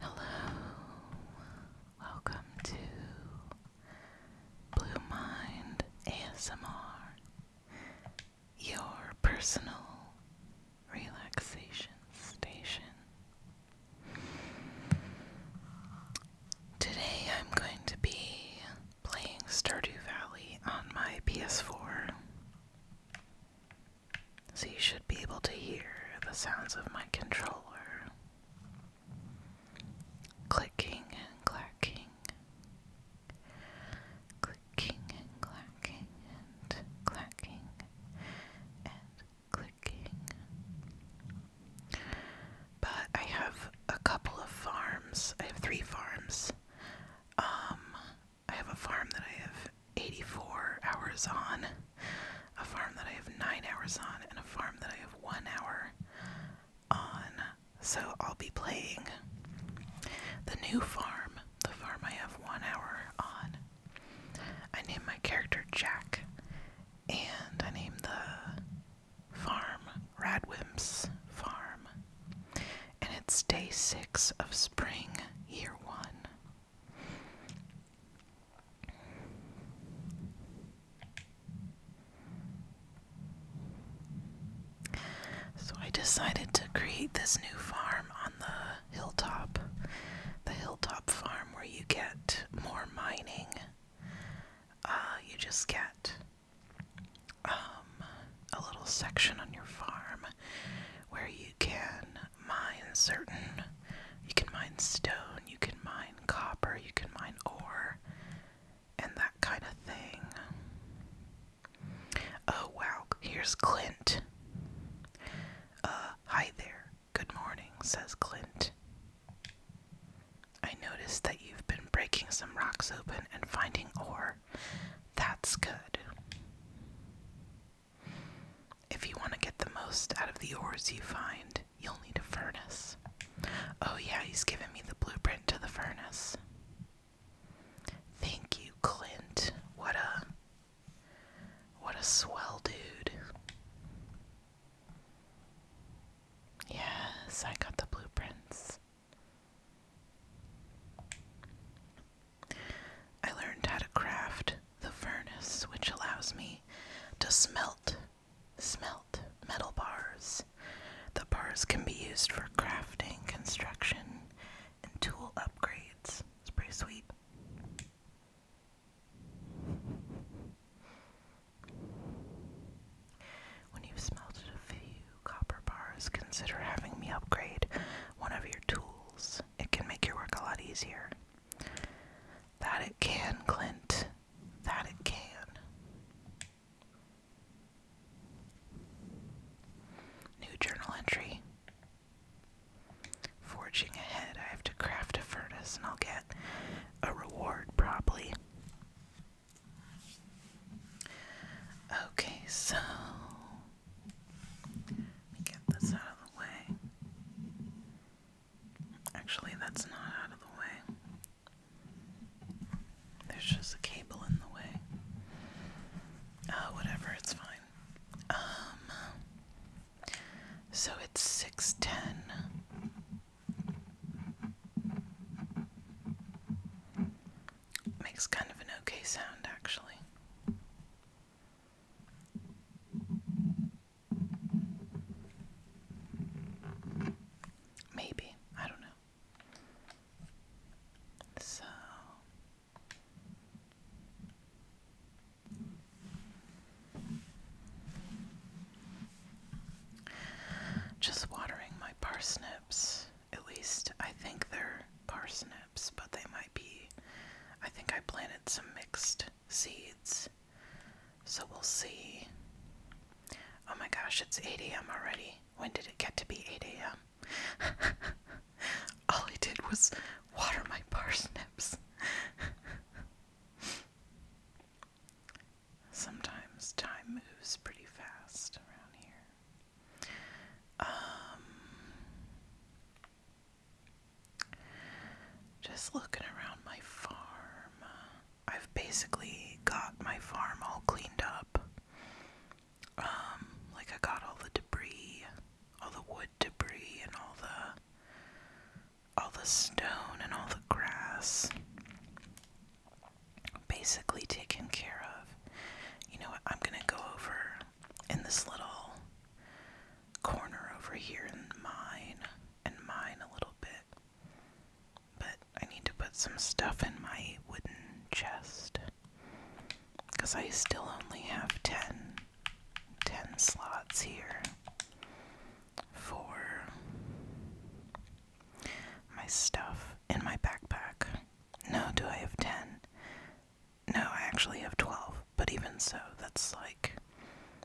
Hello, welcome to Blue Mind ASMR, your personal relaxation station. Today I'm going to be playing Stardew Valley on my PS4. So you should be able to hear the sounds of my controller clicking and clacking, clicking and clacking and clacking and clicking. But I have a couple of farms. I have three farms. Um, I have a farm that I have 84 hours on, a farm that I have 9 hours on, and a farm that I have 1 hour on. So I'll be playing the new farm, the farm I have 1 hour on. I named my character Jack, and I named the Farm, Radwimps Farm, and it's day six of spring, year one. So I decided to create this new farm on the hilltop. The hilltop farm where you get more mining uh, you just get um, a little section on your farm where you can mine certain. You can mine stone, you can mine copper, you can mine ore, and that kind of thing. Oh wow, here's Clint. Uh, hi there. Good morning, says Clint. I noticed that you've been breaking some rocks open and finding ore. That's good. If you want to get the most out of the ores you find, you'll need a furnace. Oh, yeah, he's given me the blueprint to the furnace. Thank you, Clint. What a. What a swell dude. Yes, I got the blueprints. I learned how to craft the furnace, which allows me to smelt, smelt metal bars. The bars can be used for crafting, construction, and tool upgrades. It's pretty sweet. When you've smelted a few copper bars, consider having me upgrade one of your tools. It can make your work a lot easier. That it can, Clint. That it can. New journal entry. Forging ahead, I have to craft a furnace and I'll get a reward probably. Okay, so let me get this out of the way. Actually, that's not out of the way. There's just a cable in the way. Oh, whatever, it's fine. Um, so it's 610 Makes kind of an okay sound, actually. Maybe. I don't know. So. Just watering my parsnips. At least I think they're parsnips, but they might be. I think I planted some mixed seeds. So we'll see. Oh my gosh, it's 8 a.m. already. When did it get to be 8 a.m.? All I did was water my parsnips. Sometimes time moves pretty fast around here. Um, just looking around my farm. I've basically got my farm all cleaned up. Um, like I got all the debris, all the wood debris and all the all the stone and all the grass basically taken care of. You know what? I'm going to go over in this little corner over here and mine and mine a little bit. But I need to put some stuff in my wooden chest because I still only have 10, 10 slots here for my stuff in my backpack. No, do I have 10? No, I actually have 12. But even so, that's like,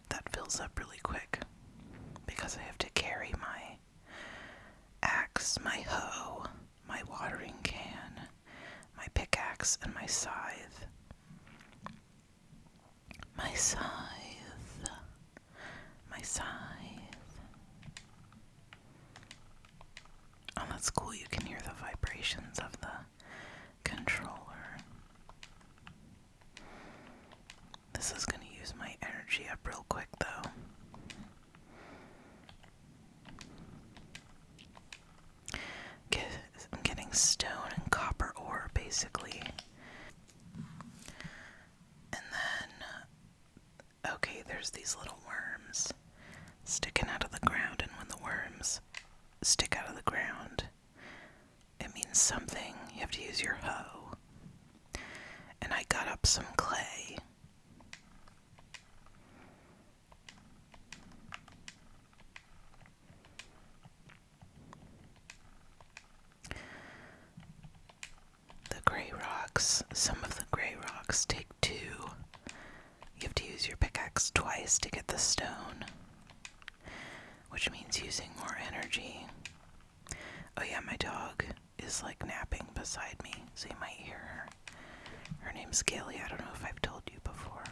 that fills up really quick because I have to carry my axe, my hoe, my watering can, my pickaxe, and my scythe. My scythe. My scythe. Oh, that's cool. You can hear the vibrations of the controller. This is going to use my energy up real quick, though. I'm getting stone and copper ore, basically. And then Okay, there's these little worms sticking out of the ground, and when the worms stick out of the ground, it means something. You have to use your hoe. And I got up some clay the gray rocks. Some of the gray rocks take two. You have to use your pickaxe twice to get the stone, which means using more energy. Oh, yeah, my dog is like napping beside me, so you might hear her. Her name's Gilly. I don't know if I've told you before.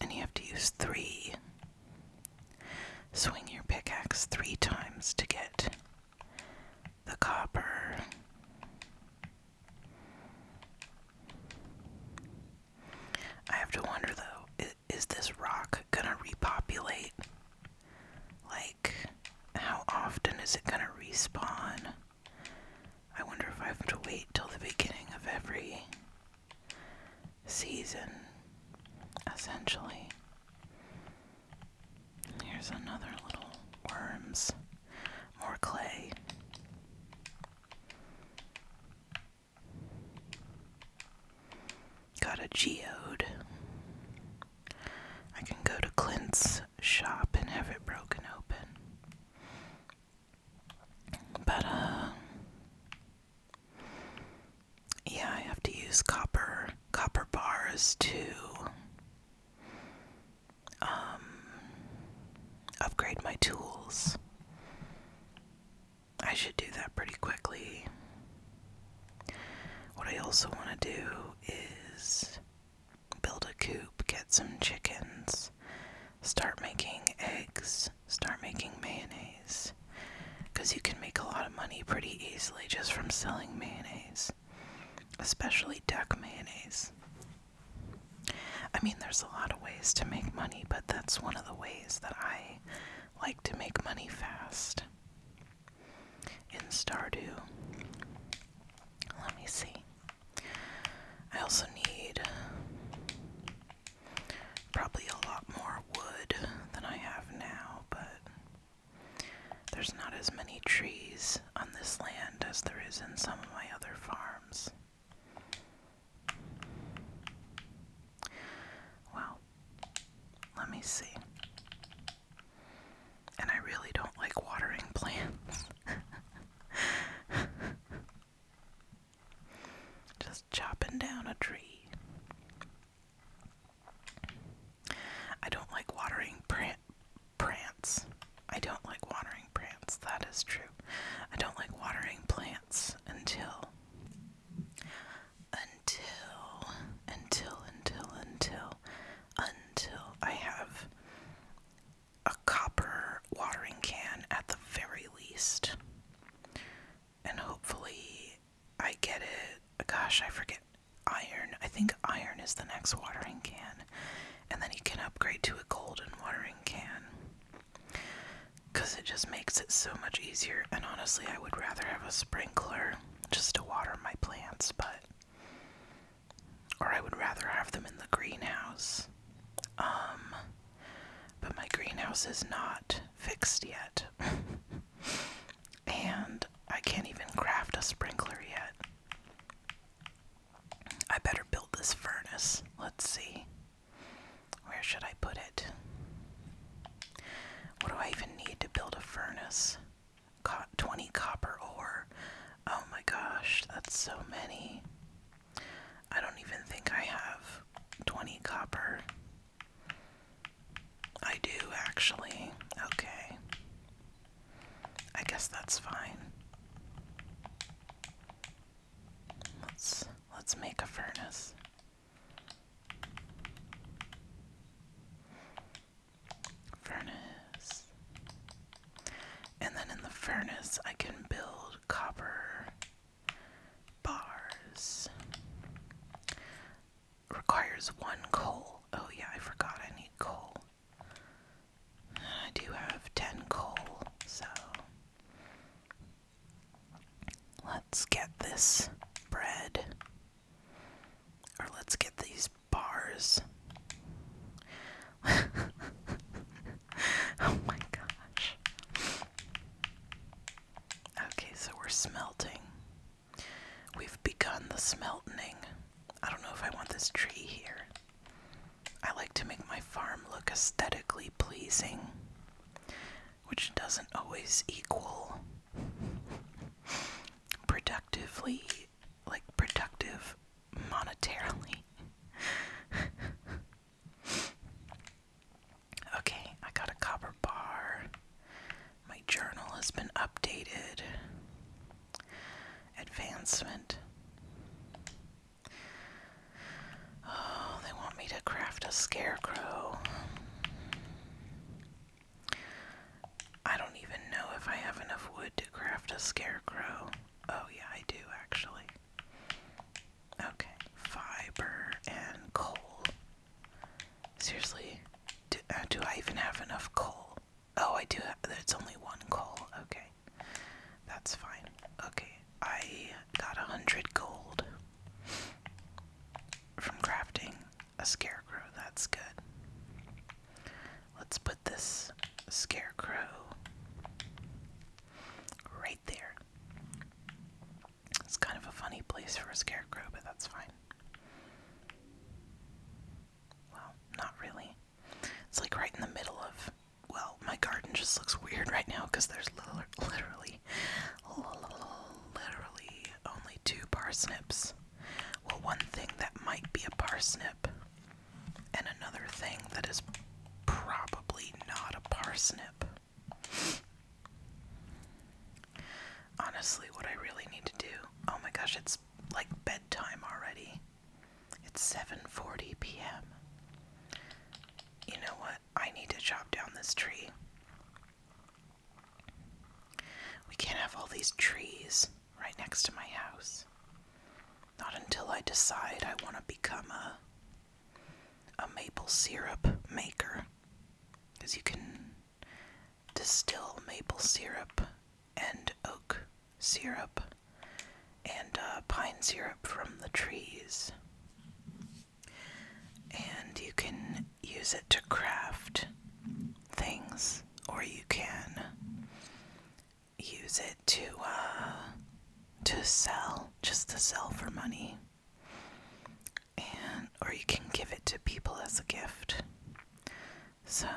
And you have to use three Swing your pickaxe three times to get the copper. I have to wonder though, is, this rock gonna repopulate? Like, how often is it gonna respawn? I wonder if I have to wait till the beginning of every season, essentially. Here's another little worms, more clay. Got a geode. I can go to Clint's shop and have it broken open. But, uh, yeah, I have to use copper copper bars to um, upgrade my tools. I should do that pretty quickly. What I also want to do is build a coop, get some chickens, start making eggs start making mayonnaise. Because you can make a lot of money pretty easily just from selling mayonnaise, especially duck mayonnaise. I mean, there's a lot of ways to make money, but that's one of the ways that I like to make money fast. In Stardew, let me see. I also need Probably a lot more wood than I have now, but there's not as many trees on this land as there is in some of my other farms. Well, let me see. And I really don't like watering plants. Just chopping down a tree. I don't like watering plant plants. I don't like watering plants. That is true. I don't like watering plants until until until until until until I have a copper watering can at the very least and hopefully I get it. Gosh, I forget. Iron. I think iron is the next watering can. And then you can upgrade to a golden watering can. Because it just makes it so much easier. And honestly, I would rather have a sprinkler just to water my plants, but. Or I would rather have them in the greenhouse. Um. But my greenhouse is not fixed yet. and I can't even craft a sprinkler yet. I better build this furnace. Let's see. Where should I put it? What do I even need to build a furnace? Co 20 copper ore. Oh my gosh, that's so many. I don't even think I have 20 copper. I do actually. Okay. I guess that's fine. Let's let's make a furnace. Furnace. And then in the furnace I can build copper bars requires one coal. Oh, yeah, I forgot I need coal. I do have 10 coal, so let's get this bread. Or let's get these bars. oh my gosh. Okay, so we're smelting. We've begun the smelting. I don't know if I want this tree here. I like to make my farm look aesthetically pleasing, which doesn't always equal productively, like productive monetarily. Okay, I got a copper bar. My journal has been updated. Advancement. Oh, they want me to craft a scarecrow. I don't even know if I have enough wood to craft a scarecrow. Oh, yeah, I do actually. Okay, fiber and coal. Seriously, do, uh, do I even have enough coal? Oh, I do. Have, it's only one coal. Okay, that's fine. Okay, I got a hundred gold from crafting a scarecrow. That's good. Let's put this scarecrow right there. It's kind of a funny place for a scarecrow, but that's fine. Well, not really. It's like right in the middle of. Well, my garden just looks weird right now because there's literally, literally only two parsnips. Well, one thing that might be a parsnip, and another thing that is probably not a parsnip. Honestly, what I really need to do. Oh my gosh, it's like bedtime already. It's 7:40 p.m. You know what? I need to chop down this tree. We can't have all these trees right next to my house. Not until I decide I want to become a a maple syrup maker. Cuz you can distill maple syrup and oak syrup and uh, pine syrup from the trees. And you can use it to craft things, or you can use it to uh, to sell, just to sell for money and or you can give it to people as a gift. So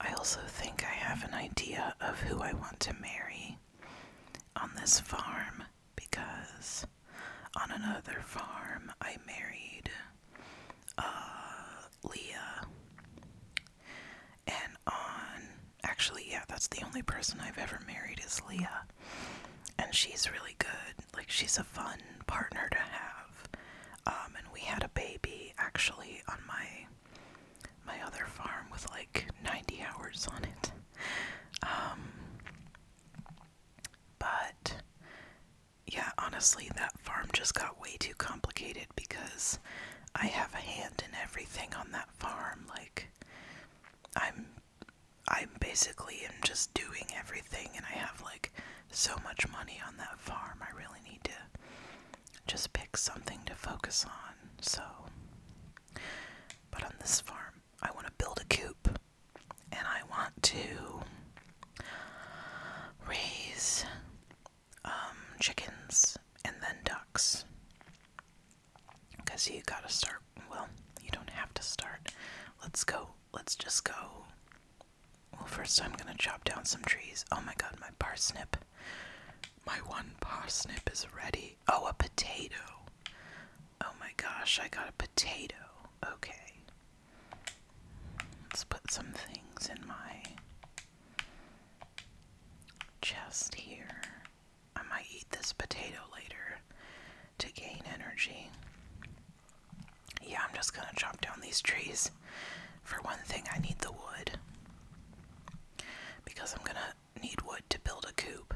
I also think I have an idea of who I want to marry on this farm because on another farm I married uh, Leah. And on, actually, yeah, that's the only person I've ever married is Leah and she's really good. Like she's a fun partner to have. Um, and we had a baby actually on my my other farm with like 90 hours on it. Um, but yeah, honestly, that farm just got way too complicated because I have a hand in everything on that farm. Like, I'm I'm basically am just doing everything, and I have like so much money on that farm. I really need to just pick something to focus on. So, but on this farm, I want to build a coop, and I want to raise um, chickens and then ducks. Because you gotta start, well, you don't have to start. Let's go let's just go. Well, first I'm gonna chop down some trees. Oh my god, my parsnip. My one parsnip is ready. Oh, a potato. Oh my gosh, I got a potato. Okay. Let's put some things in my chest here. I might eat this potato later to gain energy. Yeah, I'm just gonna chop down these trees. For one thing, I need the wood. Because I'm gonna need wood to build a coop.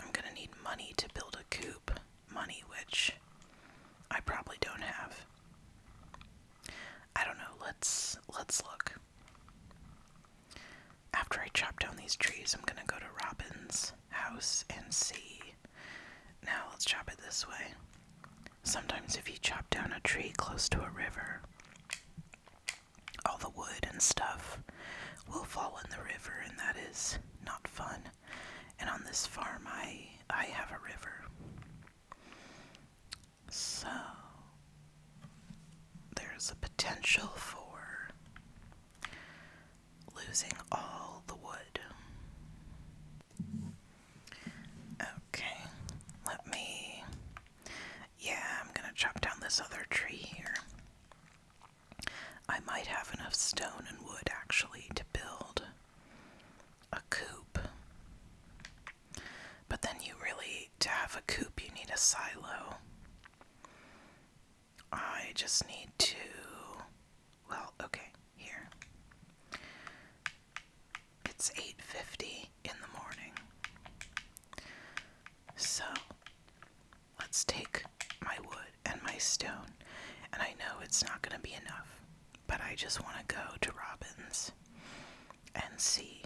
I'm gonna need money to build a coop. Money, which I probably don't have. I don't know. Let's let's look. After I chop down these trees, I'm gonna go to Robin's house and see. Now let's chop it this way. Sometimes, if you chop down a tree close to a river, all the wood and stuff will fall in the river, and that is not fun. And on this farm, I, I have a river. So, there's a potential for losing all the wood. Okay, let me. Yeah, I'm gonna chop down this other tree here. I might have enough stone and wood actually to build a coop. But then you really, to have a coop, you need a silo. I just need to. Well, okay, here. It's 8:50 in the morning. So, let's take my wood and my stone, and I know it's not going to be enough, but I just want to go to Robin's and see.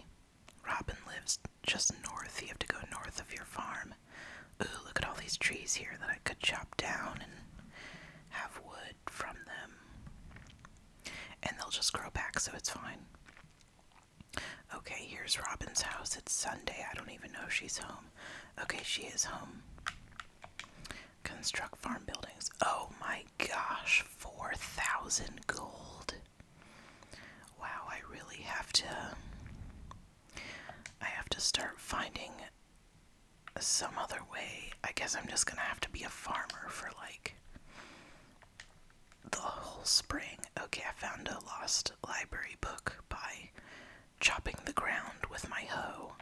Robin lives just north. You have to go north of your farm ooh, look at all these trees here that I could chop down and have wood from them. And they'll just grow back, so it's fine. Okay, here's Robin's house. It's Sunday. I don't even know if she's home. Okay, she is home. Construct farm buildings. Oh my gosh, 4,000 gold. Wow, I really have to. I have to start finding some other way. I guess I'm just gonna have to be a farmer for like the whole spring. Okay, I found a lost library book by chopping the ground with my hoe.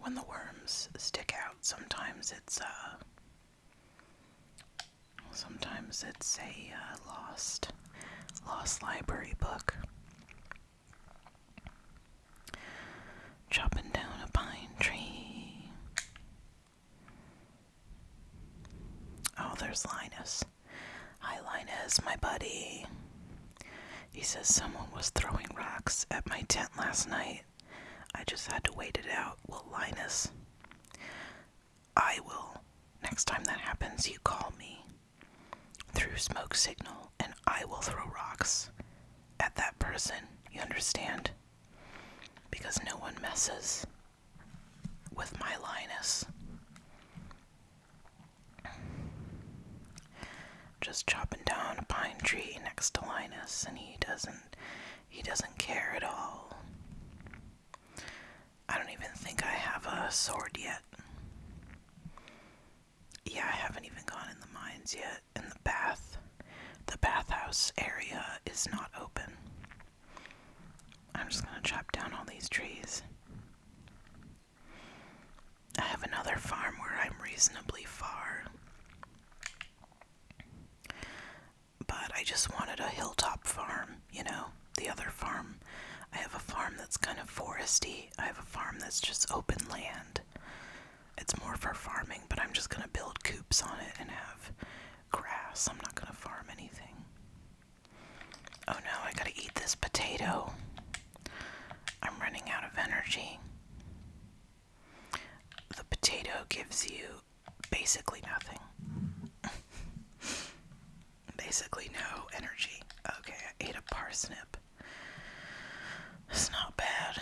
When the worms stick out, sometimes it's a. Uh, sometimes it's a uh, lost lost library book. Chopping down a pine tree. Oh, there's Linus. Hi, Linus, my buddy. He says someone was throwing rocks at my tent last night. I just had to wait it out. Well, Linus, I will. Next time that happens, you call me through smoke signal, and I will throw rocks at that person. You understand? Because no one messes with my Linus. Just chopping down a pine tree next to Linus, and he doesn't. He doesn't care at all. I don't even think I have a sword yet yeah, I haven't even gone in the mines yet. In the bath, the bathhouse area is not open. I'm just gonna chop down all these trees. I have another farm where I'm reasonably far. But I just wanted a hilltop farm, you know, the other farm. I have a farm that's kind of foresty I have a farm that's just open land. It's more for farming, but I'm just gonna build coops on it and have grass. I'm not gonna farm anything. Oh no, I gotta eat this potato. I'm running out of energy. The potato gives you basically nothing. basically, no energy. Okay, I ate a parsnip. It's not bad.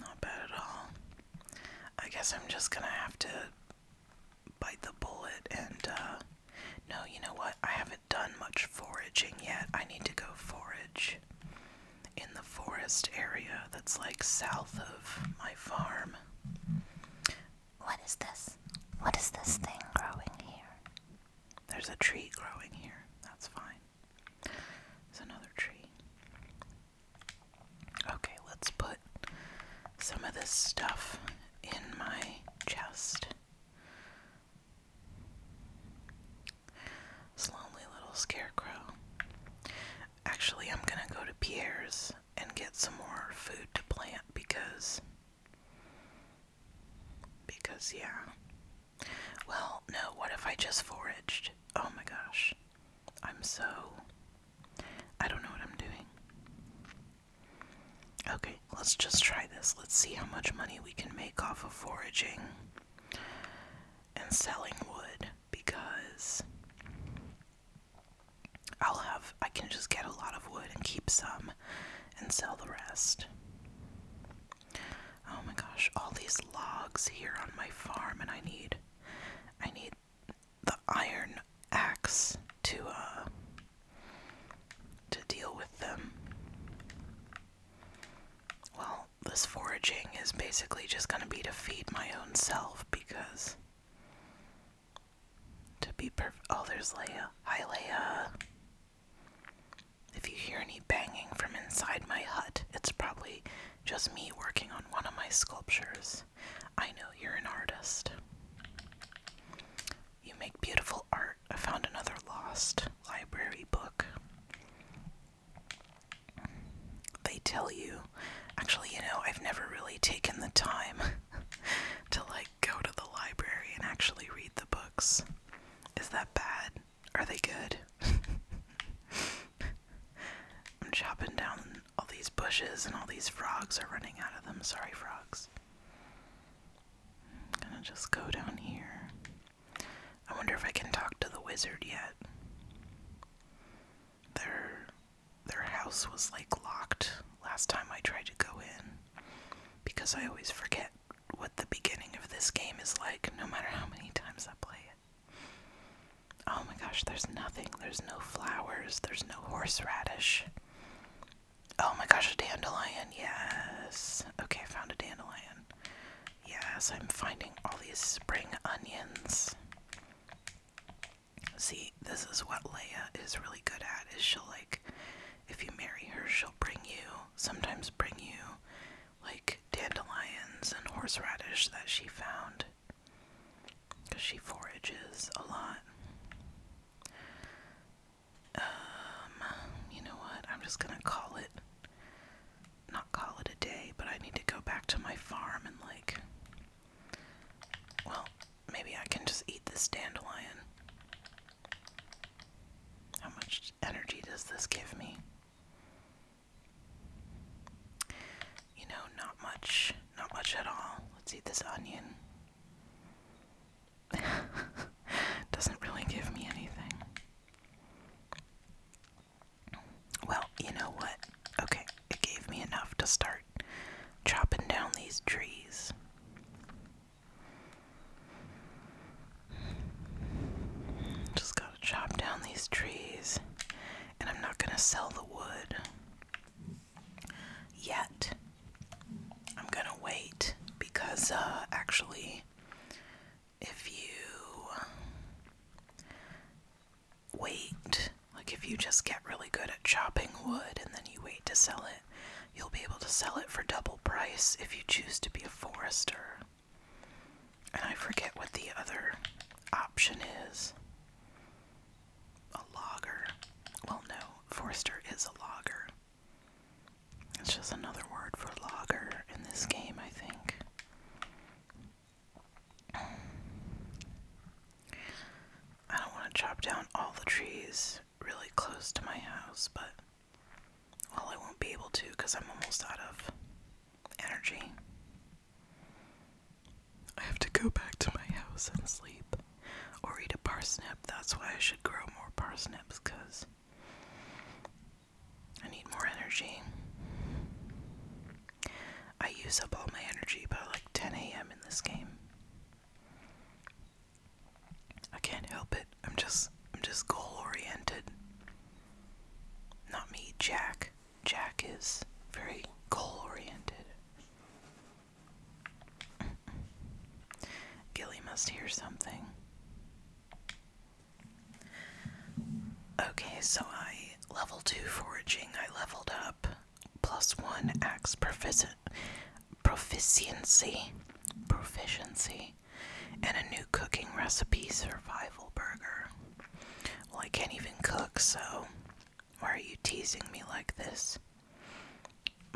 Not bad at all. I guess I'm just gonna have to bite the bullet and, uh, no, you know what? I haven't done much foraging yet. I need to go forage in the forest area that's like south of my farm. What is this? What is this thing growing here? There's a tree growing here. That's fine. There's another tree. Okay, let's put some of this stuff in my chest. lonely little scarecrow. Actually, I'm gonna go to Pierre's and get some more food to plant because because, yeah. Well, no, what if I just foraged? Oh my gosh. I'm so. I don't know what I'm doing. Okay, let's just try this. Let's see how much money we can make off of foraging and selling wood because I'll have. I can just get a lot of wood and keep some and sell the rest. Oh my gosh, all these logs here on my farm and I need I need the iron axe to uh to deal with them. Well, this foraging is basically just going to be to feed my own self because to be perfect. Oh, there's Leia. Hi, Leia. If you hear any banging from inside my hut, it's probably just me working on one of my sculptures. I know you're an artist. You make beautiful art. I found another lost library book. They tell you, actually, you know, I've never really taken the time to like go to the library and actually read the books. Is that bad? Are they good? I'm chopping down all these bushes and all these frogs are running out of them. Sorry, frogs. I'm gonna just go down here. I wonder if I can talk to the wizard yet. Their their house was like locked last time I tried to go in because I always forget what the beginning of this game is like, no matter how many times I play it. Oh my gosh, there's nothing. There's no flowers. There's no horseradish. Oh my gosh, a dandelion. Yes. Okay, I found a dandelion. Yes, I'm finding all these spring onions. See, this is what Leia is really good at is she'll like if you marry her, she'll bring you sometimes bring you like dandelions and horseradish that she found because she forages a lot. Um, you know what? I'm just gonna call it not call it a day, but I need to go back to my farm and like well, maybe I can just eat this dandelion. How much energy does this give me? You know, not much. Not much at all. Let's eat this onion. Doesn't really give me anything. Well, you know what? Okay, it gave me enough to start chopping down these trees. Just gotta chop down these trees, and I'm not gonna sell the wood yet. I'm gonna wait because, uh, actually, if you wait, like if you just get really good at chopping wood and then you wait to sell it. You'll be able to sell it for double price if you choose to be a forester. And I forget what the other option is. A logger. Well, no, forester is a logger. It's just another word for logger in this game, I think. I want to chop down all the trees really close to my house, but well, I won't be able to because I'm almost out of energy. I have to go back to my house and sleep or eat a parsnip. That's why I should grow more parsnips because I need more energy. I use up all my energy by like 10 a.m. in this game. I can't help it. I'm just I'm just goal oriented. Not me, Jack. Jack is very goal oriented. Gilly must hear something. Okay, so I level 2 foraging, I leveled up. Plus 1 axe proficiency. Proficiency and a new cooking recipe survival burger. Well, I can't even cook, so why are you teasing me like this?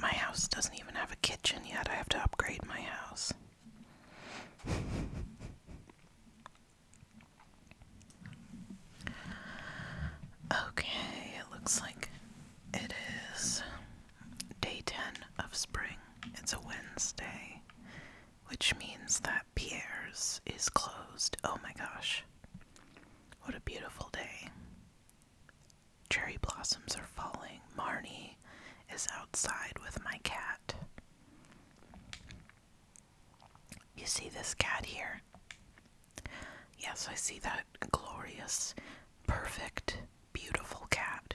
My house doesn't even have a kitchen yet. I have to upgrade my house. Okay, it looks like it is Day 10 of spring. It's a Wednesday, which means that Pierre's is closed. Oh my gosh. What a beautiful day. Cherry blossoms are falling. Marnie is outside with my cat. You see this cat here? Yes, I see that glorious, perfect beautiful cat.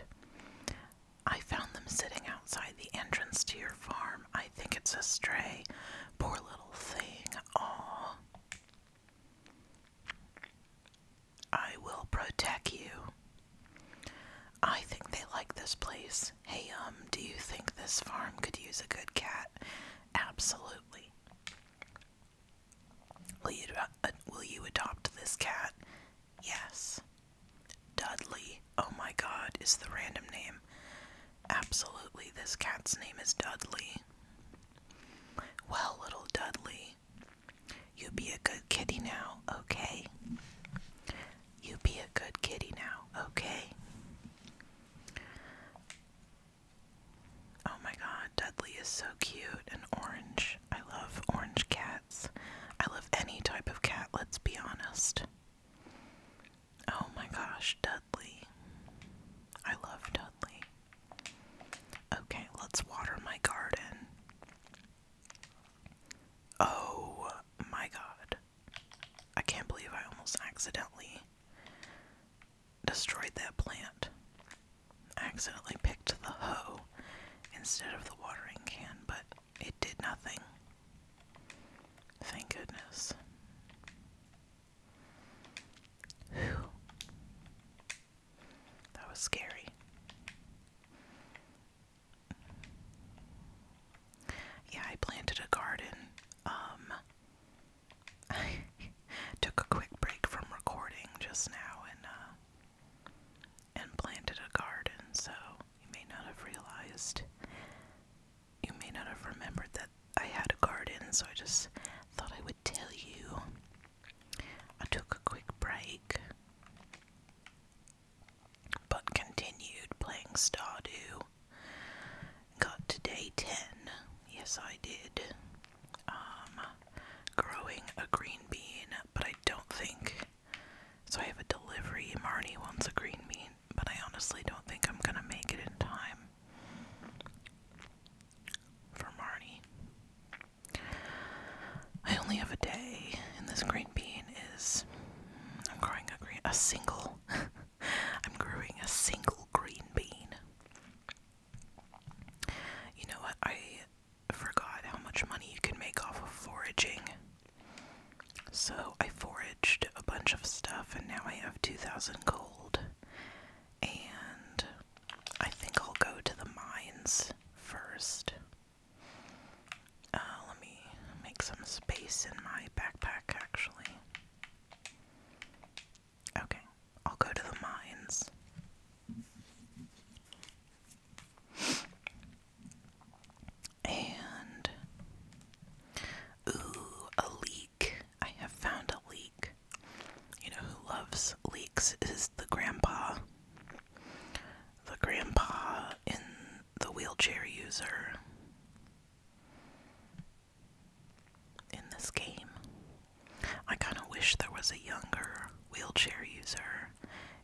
I found them sitting outside the entrance to your farm. I think it's a stray. Poor little thing. Aw. I will protect you. I think they like this place. Hey, um, do you think this farm could use a good cat? Absolutely. Will you, uh, will you adopt this cat? Yes. Dudley. Oh my god, is the random name. Absolutely, this cat's name is Dudley. Well, little Dudley, you be a good kitty now, okay? You be a good kitty now, okay? Oh my god, Dudley is so cute and orange. I love orange cat. I love any type of cat, let's be honest. Oh my gosh, Dudley. I love Dudley. Okay, let's water my garden. Oh my god. I can't believe I almost accidentally destroyed that plant. accidentally picked the hoe instead of the watering can, but it did nothing. Thank goodness. That was scary. Yeah, I planted a garden. Um, I took a quick break from recording just now and uh, and planted a garden, so you may not have realized, you may not have remembered that I had a garden, so I just thought I would tell you. I took a quick break, but continued playing Stardew. Got to day 10. Yes, I did. Um, growing a green bean, but I don't think so I have a delivery. Marnie wants a green bean, but I honestly don't think I'm gonna make it in time for Marnie. I only have a day, and this green bean is. Mm, I'm growing a a single. I'm growing a single green bean. You know what? I forgot how much money you can make off of foraging. So I foraged a bunch of stuff and now I have 2,000 gold. And I think I'll go to the mines first. Uh, let me make some space in my backpack actually. Okay, I'll go to the mines. And ooh, a leak. I have found a leak. You know who loves leaks is the grandpa. The grandpa in the wheelchair user in this game. I kind of wish there was a younger wheelchair user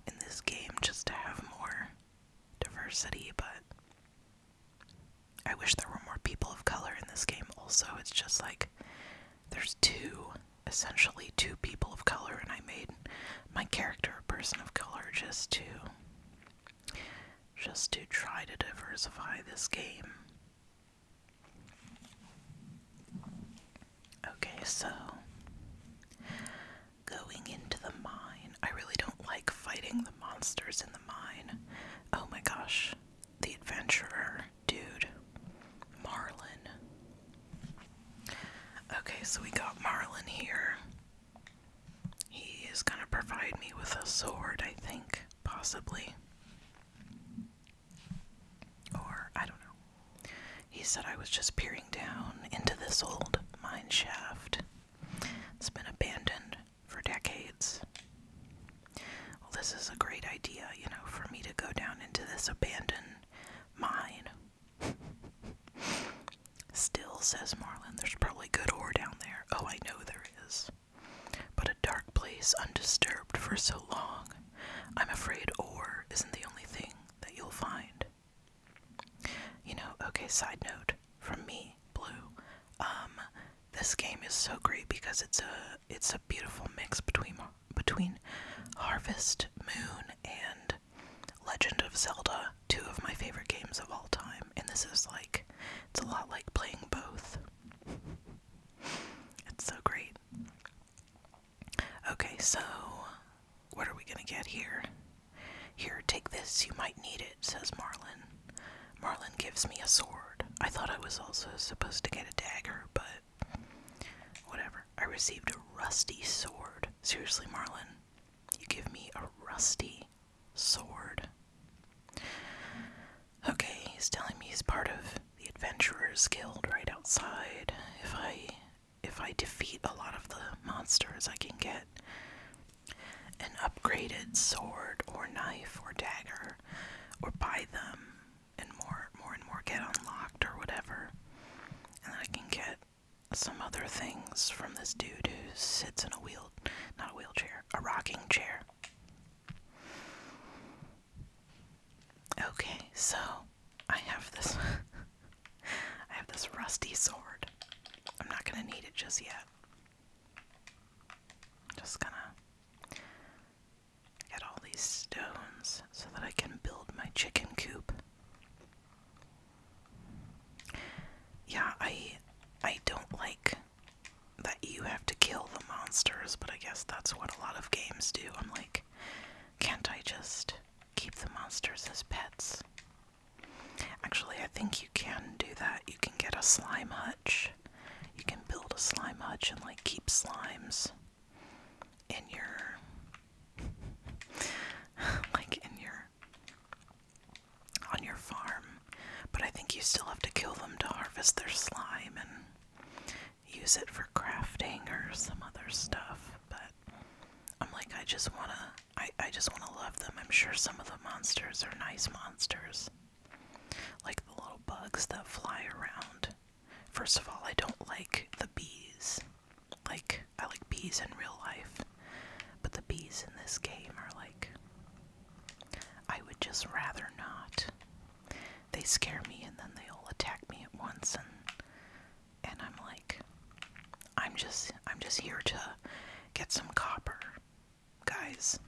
in this game just to have more diversity, but I wish there were more people of color in this game also. It's just like there's two, essentially two people of color, and I made my character a person of color just to just to try to diversify this game. Okay, so going into the mine. I really don't like fighting the monsters in the mine. Oh my gosh. The adventurer, dude. Marlin. Okay, so we got Marlin here. He is gonna provide me with a sword, I think, possibly. Or, I don't know. He said I was just peering down into this old mine shaft. It's been abandoned for decades. Well, this is a great idea, you know, for me to go down into this abandoned mine. Still, says Marlin, there's probably good ore down there. Oh, I know there is. But a dark place undisturbed for so long, I'm afraid ore isn't the only thing that you'll find. You know, okay, side note from me, Blue. Um this game is so great because it's a it's a beautiful mix between between Harvest Moon and Legend of Zelda, two of my favorite games of all time. And this is like it's a lot like playing both. It's so great. Okay, so what are we gonna get here? Here, take this, you might need it, says Marlin. Marlin gives me a sword. I thought I was also supposed to get a dagger, but whatever. I received a rusty sword. Seriously, Marlin, you give me a rusty sword. Okay, he's telling me he's part of the Adventurer's Guild right outside. If I if I defeat a lot of the monsters, I can get an upgraded sword or knife or dagger or buy them and more more and more get unlocked or whatever. And I can get some other things from this dude who sits in a wheel not a wheelchair, a rocking chair. Okay, so I have this I have this rusty sword. I'm not gonna need it just yet. Just gonna get all these stones so that I can build my chicken coop. Yeah, I I don't like that you have to kill the monsters, but I guess that's what a lot of games do. I'm like, can't I just keep the monsters as pets? Actually, I think you can do that. You can get a slime hutch. You can build a slime hutch and like keep slimes in your like in your on your farm. But I think you still have to kill them to harvest their slime and use it for crafting or some other stuff. But I'm like, I just wanna, I, I just wanna love them. I'm sure some of the monsters are nice monsters, like the little bugs that fly around. First of all, I don't like the bees. Like, I like bees in real life, but the bees in this game are like, I would just rather not. They scare me and then they all attack me at once, and and I'm like I'm just I'm just here to get some copper, guys.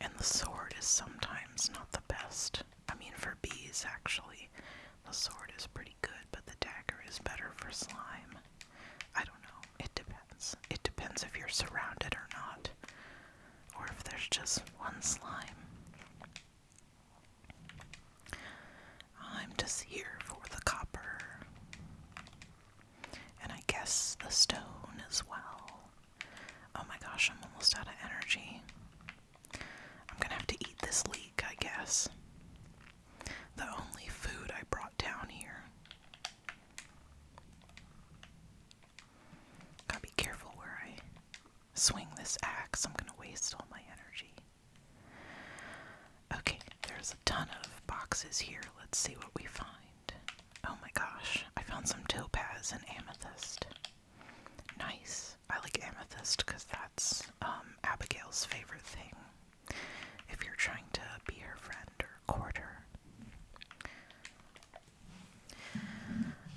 And the sword is sometimes not the best. I mean for bees actually. The sword is pretty good, but the dagger is better for slime. I don't know. It depends. It depends if you're surrounded or not. Or if there's just one slime. I'm just here for the copper. And I guess the stone as well. Oh my gosh, I'm almost out of energy. I'm gonna have to eat this leek, I guess. The only food I brought down here. Gotta be careful where I swing this axe. I'm gonna waste all my energy. Okay, there's a ton of boxes here. Let's see what we find. Oh my gosh, I found some topaz and amethyst. Nice. I like amethyst because that's um, Abigail's favorite thing. If you're trying to be her friend or court her.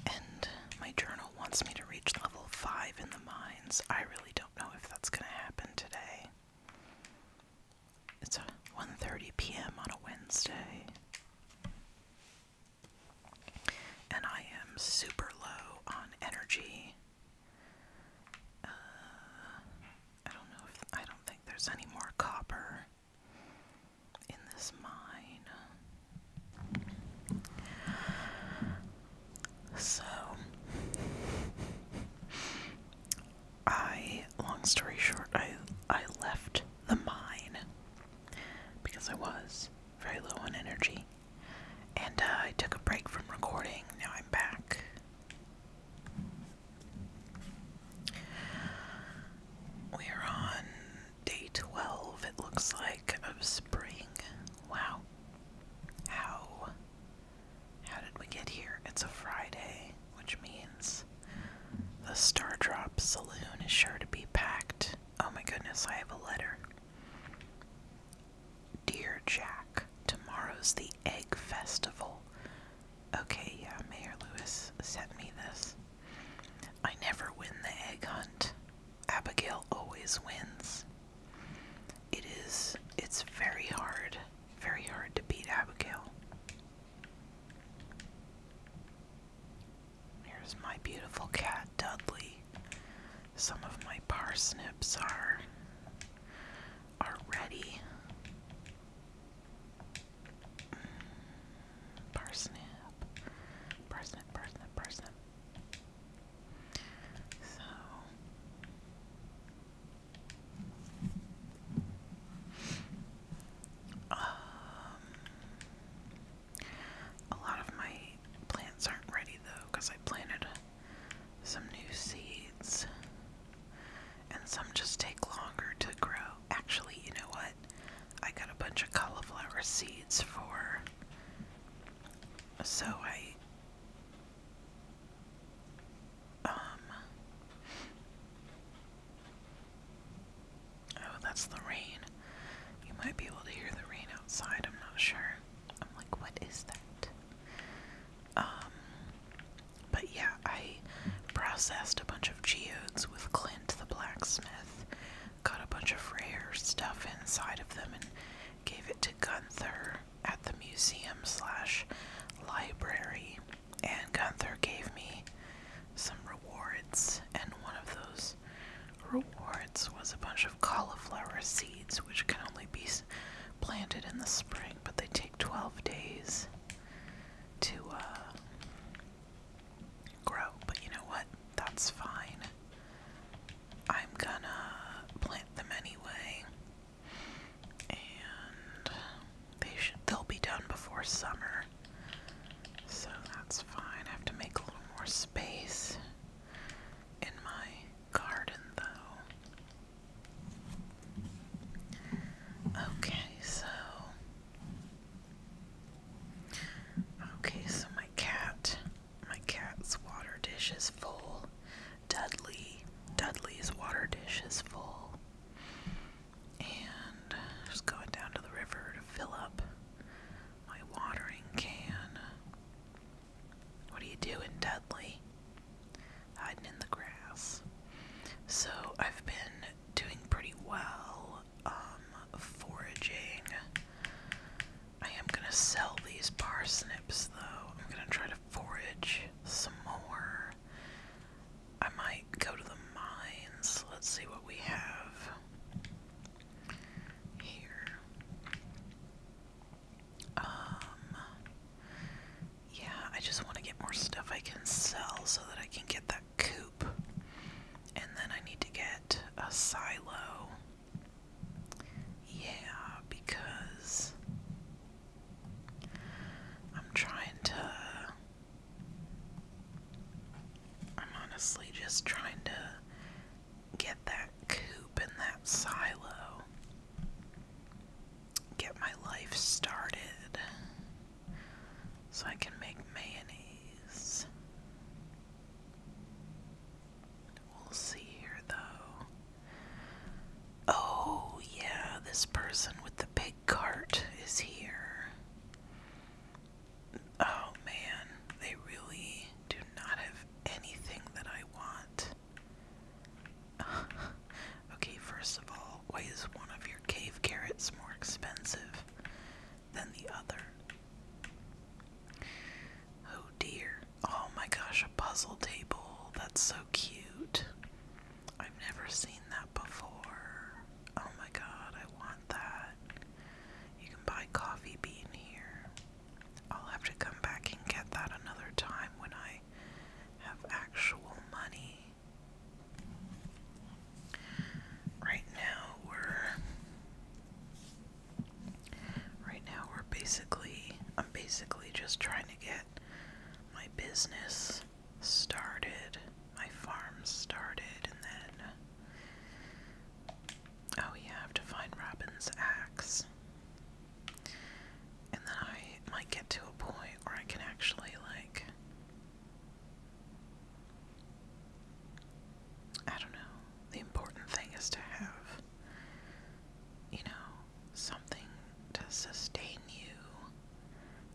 And my journal wants me to reach level 5 in the mines. I don't know if that's going to happen today. It's 1:30 p.m. on a Wednesday. And I am super low on energy. Uh, I don't know if I don't think there's any more copper in this mine. So, I, long story short, I, I left the mine because I was very low on energy. And uh, I took a break from recording. Now I'm back. We are on day 12, it looks like, of spring. Wow. How how did we get here? It's a Friday, which means the Star Drop Saloon is sure to be packed. Oh my goodness, I have a letter. Dear Jack, tomorrow's the Egg Festival. Okay, yeah, Mayor Lewis sent me this. I never win the egg hunt. Abigail always wins. It is, it's very hard, very hard to beat Abigail. Here's my beautiful cat, Dudley. Some of my parsnips are are ready. Mm, parsnip, parsnip, parsnip, parsnip. So um, a lot of my plants aren't ready though because I planted some new seeds and some just take longer to grow. Actually, you know what? I got a bunch of cauliflower seeds for so I um, oh, that's the rain. You might be able to hear the rain outside, I'm not sure. I'm like, what is that? Um. But yeah, I processed a bunch of geodes with Clint the blacksmith, got a bunch of rare stuff inside of them, and gave it to Gunther at the museum slash library, and Gunther gave me some rewards, and one of those rewards was a bunch of cauliflower seeds, which can only be planted in the spring, but they take 12 days to uh, grow. But you know what? That's fine. I'm gonna plant them anyway. And they should they'll be done before summer. So that's fine. I have to make a little more space in my garden though. Okay, so Okay, so my cat my cat's water dish is full. Dudley, Dudley's water dish is full. And just going down to the river to fill up my watering can. What are you doing, Dudley? Hiding in the grass. So I've been doing pretty well um, foraging I am gonna sell these parsnips though. I'm gonna try to forage some more. I might go to the mines. Let's see what we have here. Um, yeah, I just want to get more stuff I can sell so that I can get that coop. And then I need to get a silo yeah, because I'm trying to. I'm honestly just trying to get that coop and that silo. Get my life started so I can make mayonnaise. We'll see here though. Oh, yeah, this person with the big cart is here. Oh man, they really do not have anything that I want. okay, first of all, why is one of your cave carrots more expensive than the other? Oh dear. Oh my gosh, a puzzle table. That's so cute. I've never seen that before. Oh my god, I want that. You can buy coffee bean here. I'll have to come back and get that another time when I have actual money. Right now we're right now we're basically I'm basically just trying to get my business started, my farm started, and then. Oh, yeah, I have to find Robin's axe. And then I might get to a point where I can actually, like. I don't know. The important thing is to have you know, something to sustain you,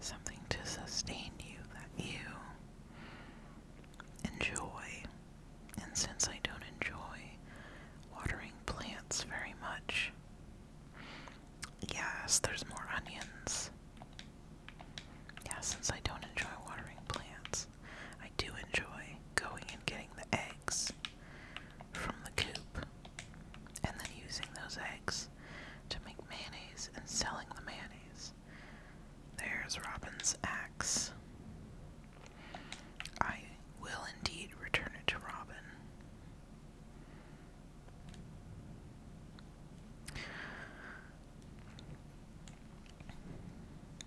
something to sustain you that you enjoy. And since I don't enjoy watering plants very much, yes, there's more onions. Yeah, since I don't enjoy watering plants, I do enjoy going and getting the eggs from the coop, and then using those eggs to make mayonnaise and selling the mayonnaise. There's Robin's axe. I will indeed return it to Robin.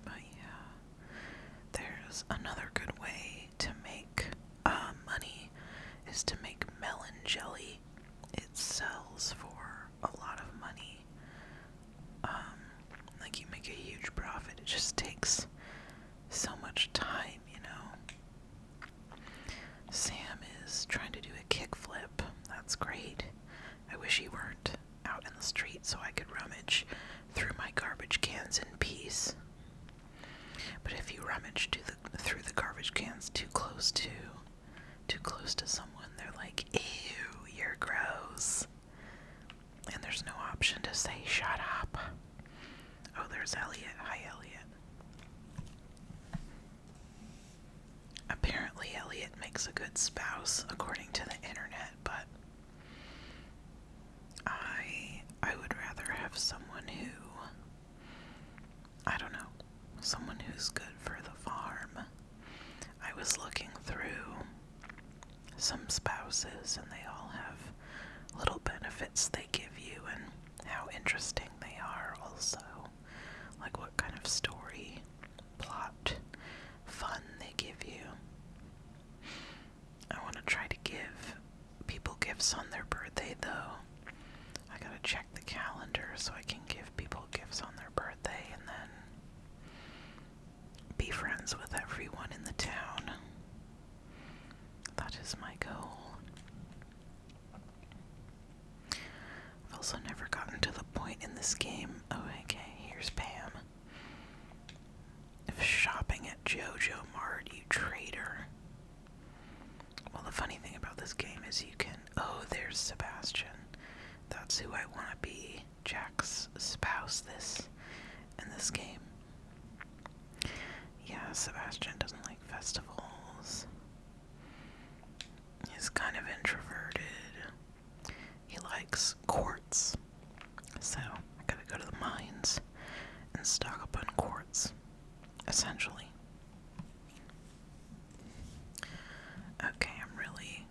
But yeah, there's another good way to make uh, money is to make melon jelly. It sells for a lot of money. Um, like you make a huge profit. It just takes so much time, you know. Sam is trying to do a kickflip. That's great. I wish he weren't out in the street so I could rummage through my garbage cans in peace. But if you rummage through the garbage cans too close to too close to someone, they're like, "Ew, your gross." And there's no option to say "shut up." Oh, there's Elliot. Hi, Elliot. Apparently, Elliot makes a good spouse, according to the internet, but I I would rather have someone who I don't know, someone who's good for the farm. I was looking through some spouses and they all have little benefits they give you and how interesting they are also. Like what kind of story, plot, fun they give you. I want to try to give people gifts on their birthday, though. I gotta check the calendar so I can give people gifts on their birthday and then be friends with everyone in the town. That is my goal. I've also never gotten to the point in this game. Oh, okay, here's Pam. If shopping at JoJo Mart, you traitor. Well, the funny thing about this game is you can. Oh, there's Sebastian. That's who I want to be. Jack's spouse, this. In this game. Yeah, Sebastian doesn't like festivals. He's kind of introverted. He likes quartz. So, I gotta go to the mines and stock up on quartz essentially. Okay, I'm really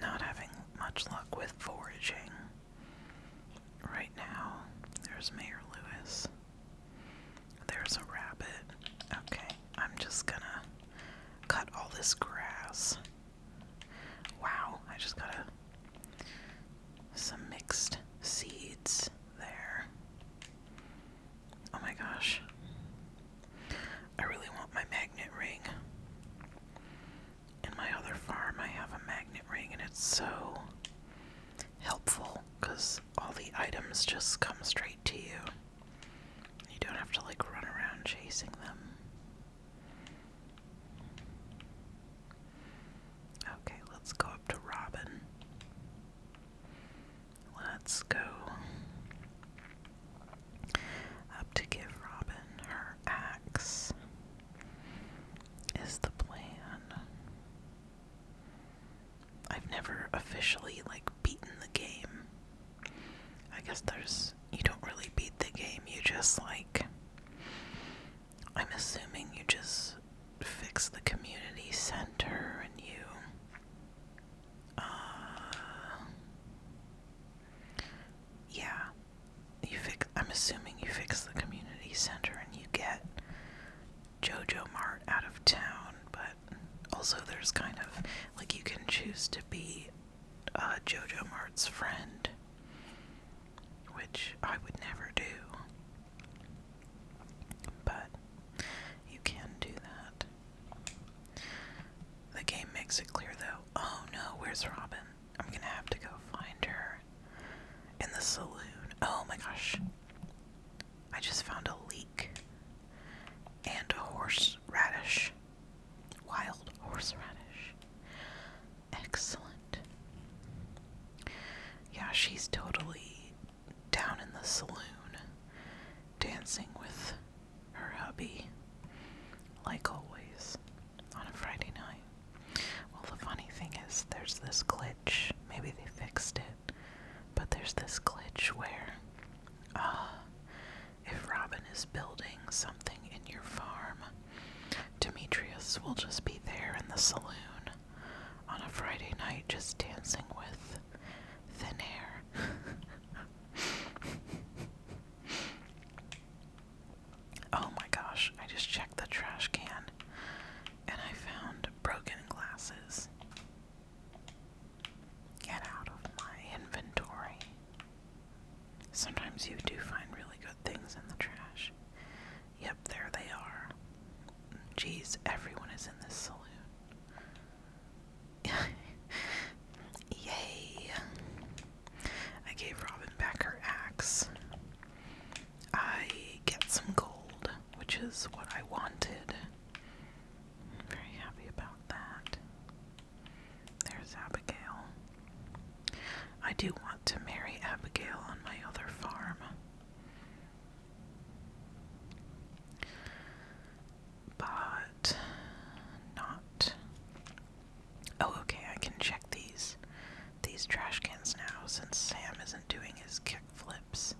not having much luck with foraging right now. There's Mayor Lewis. There's a rabbit. Okay, I'm just gonna cut all this grass. Wow, I just gotta some mixed seeds there. Oh my gosh. I really want my magnet ring. In my other farm, I have a magnet ring, and it's so helpful because all the items just come straight to you. You don't have to like run around chasing them. Okay, let's go up to Robin. Let's go up to give Robin her axe, is the plan. I've never officially, like, beaten the game. I guess there's. You don't really beat the game, you just, like, I'm assuming you just fix the community center and you uh yeah. You fix I'm assuming you fix the community center and you get Jojo Mart out of town, but also there's kind of like you can choose to be uh, Jojo Mart's friend, which I would never do. But you can do that. The game makes it clear though. Oh no, where's Robin? I'm gonna have to go find her in the saloon. Oh my gosh. I just found a leek and a horseradish. Wild horseradish. Excellent. Yeah, she's totally down in the saloon dancing with her hubby, like always, on a Friday night. Well, the funny thing is, there's this glitch. Maybe they fixed it, but there's this glitch where, uh, if Robin is building something in your farm, Demetrius will just be there in the saloon on a Friday night just dancing with thin air. oh my gosh, I just checked the trash can and I found broken glasses. Get out of my inventory. Sometimes you do find really good things in the trash. Yep, there they are. Jeez, everyone is in this saloon. Yay! I gave Robin back her axe. I get some gold, which is what I wanted. very happy about that. There's Abigail. I do want to marry Abigail on my other farm. But not. Oh, okay, I can check these these trash cans now since Sam isn't doing his kick flips.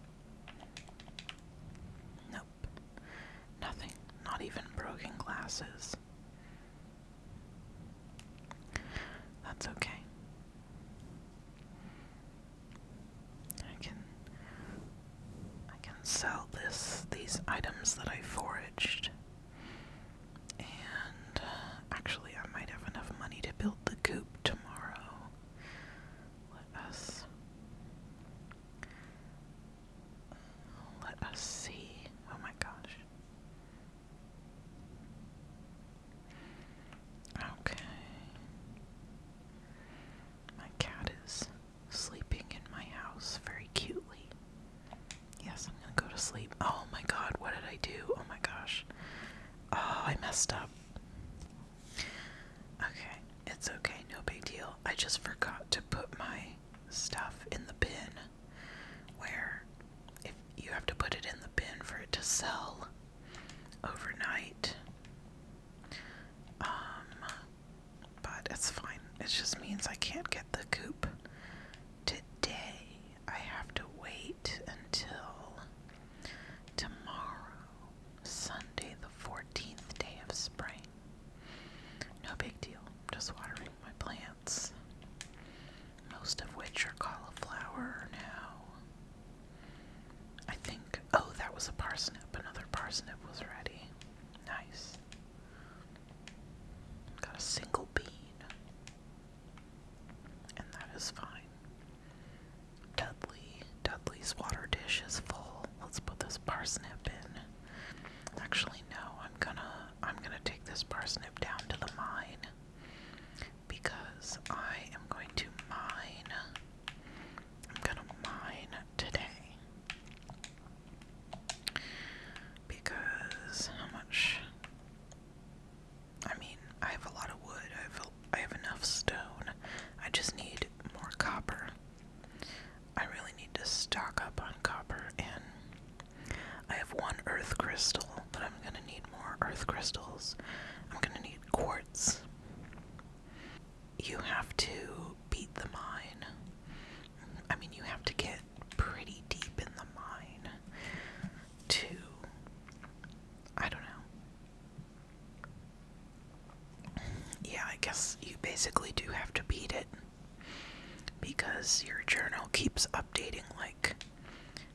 Nope. Nothing. Not even broken glasses. That's okay. I can I can sell this these items that I foraged. And uh, actually I might have enough money to build the coop tomorrow. Let us let us see. Oh my gosh. Okay. My cat is sleeping in my house very cutely. Yes, I'm gonna go to sleep. Oh my god, what did I do? Oh my gosh. Oh, I messed up. Okay, it's okay, no big deal. I just forgot to put my stuff in the bin. Where, if you have to put it in the bin for it to sell, overnight. Um, but it's fine. It just means I can't get the coop today. I have to wait until tomorrow, Sunday, the 14th day of spring. No big deal. Just watering my plants, most of which are cauliflower now. I think. Oh, that was a parsnip. Another parsnip was ready. Nice. Got a single bean. And that is fine. Dudley. Dudley's water dish is full. Let's put this parsnip in. Actually no, I'm gonna I'm gonna take this parsnip down to the mine because I am going to mine I'm gonna mine today because how much? I mean, I have a lot of wood. I have I have enough stone. I just need more copper. I really need to stock up on copper, and I have one earth crystal, but I'm gonna need more earth crystals. I'm gonna need quartz you have to beat the mine. I mean, you have to get pretty deep in the mine to. I don't know. Yeah, I guess you basically do have to beat it because your journal keeps updating, like,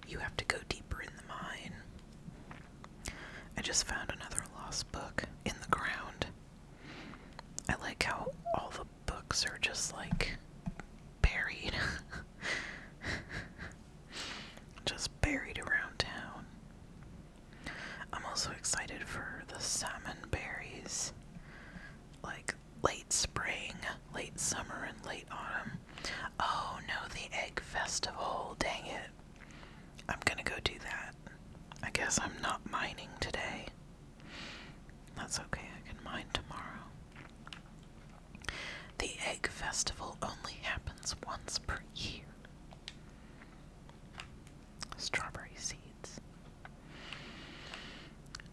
you have to go deeper in the mine. I just found another lost book in the ground. I like how all the books are just like buried. just buried around town. I'm also excited for the salmon berries. Like late spring, late summer, and late autumn. Oh no, the egg festival. Dang it. I'm gonna go do that. I guess I'm not mining today. That's okay, I can mine tomorrow. The egg festival only happens once per year. Strawberry seeds.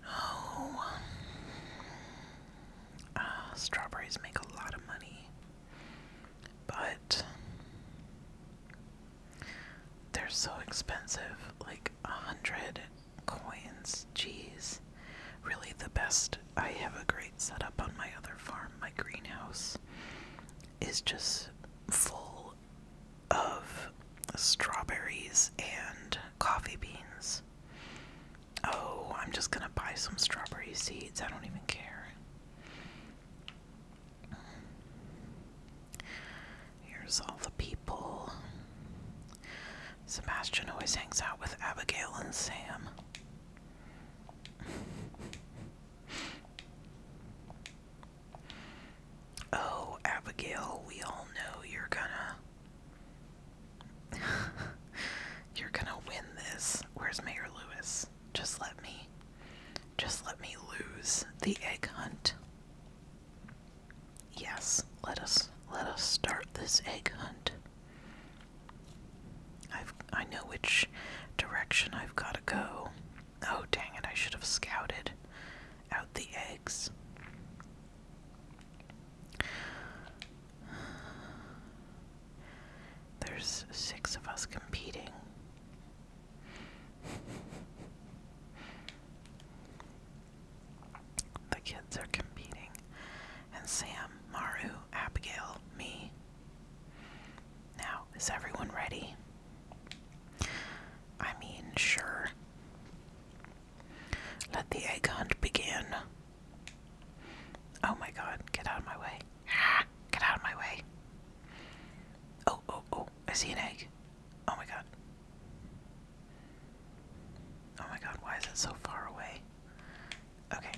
Oh. Ah, strawberries make a lot of money. But they're so expensive, like a hundred coins. Jeez. Really the best. I have a great setup on my other farm. My greenhouse is just full of strawberries and coffee beans. Oh, I'm just gonna buy some strawberry seeds. I don't even care. Here's all the people. Sebastian always hangs out with Abigail and Sam. oh, Abigail, we all know you're gonna. you're gonna win this. Where's Mayor Lewis? just let me just let me lose the egg hunt. Yes, let us let us start this egg hunt. I've I know which direction I've got to go. Oh dang it, I should have scouted out the eggs. There's six of us competing. the kids are competing, and Sam, Maru, Abigail, me. Now, is everyone ready? I mean, sure. Let the egg hunt begin. Oh my god, get out of my way. get out of my way. Oh, oh, oh, I see an egg. Oh my god. Oh my god, why is it so far away? Okay.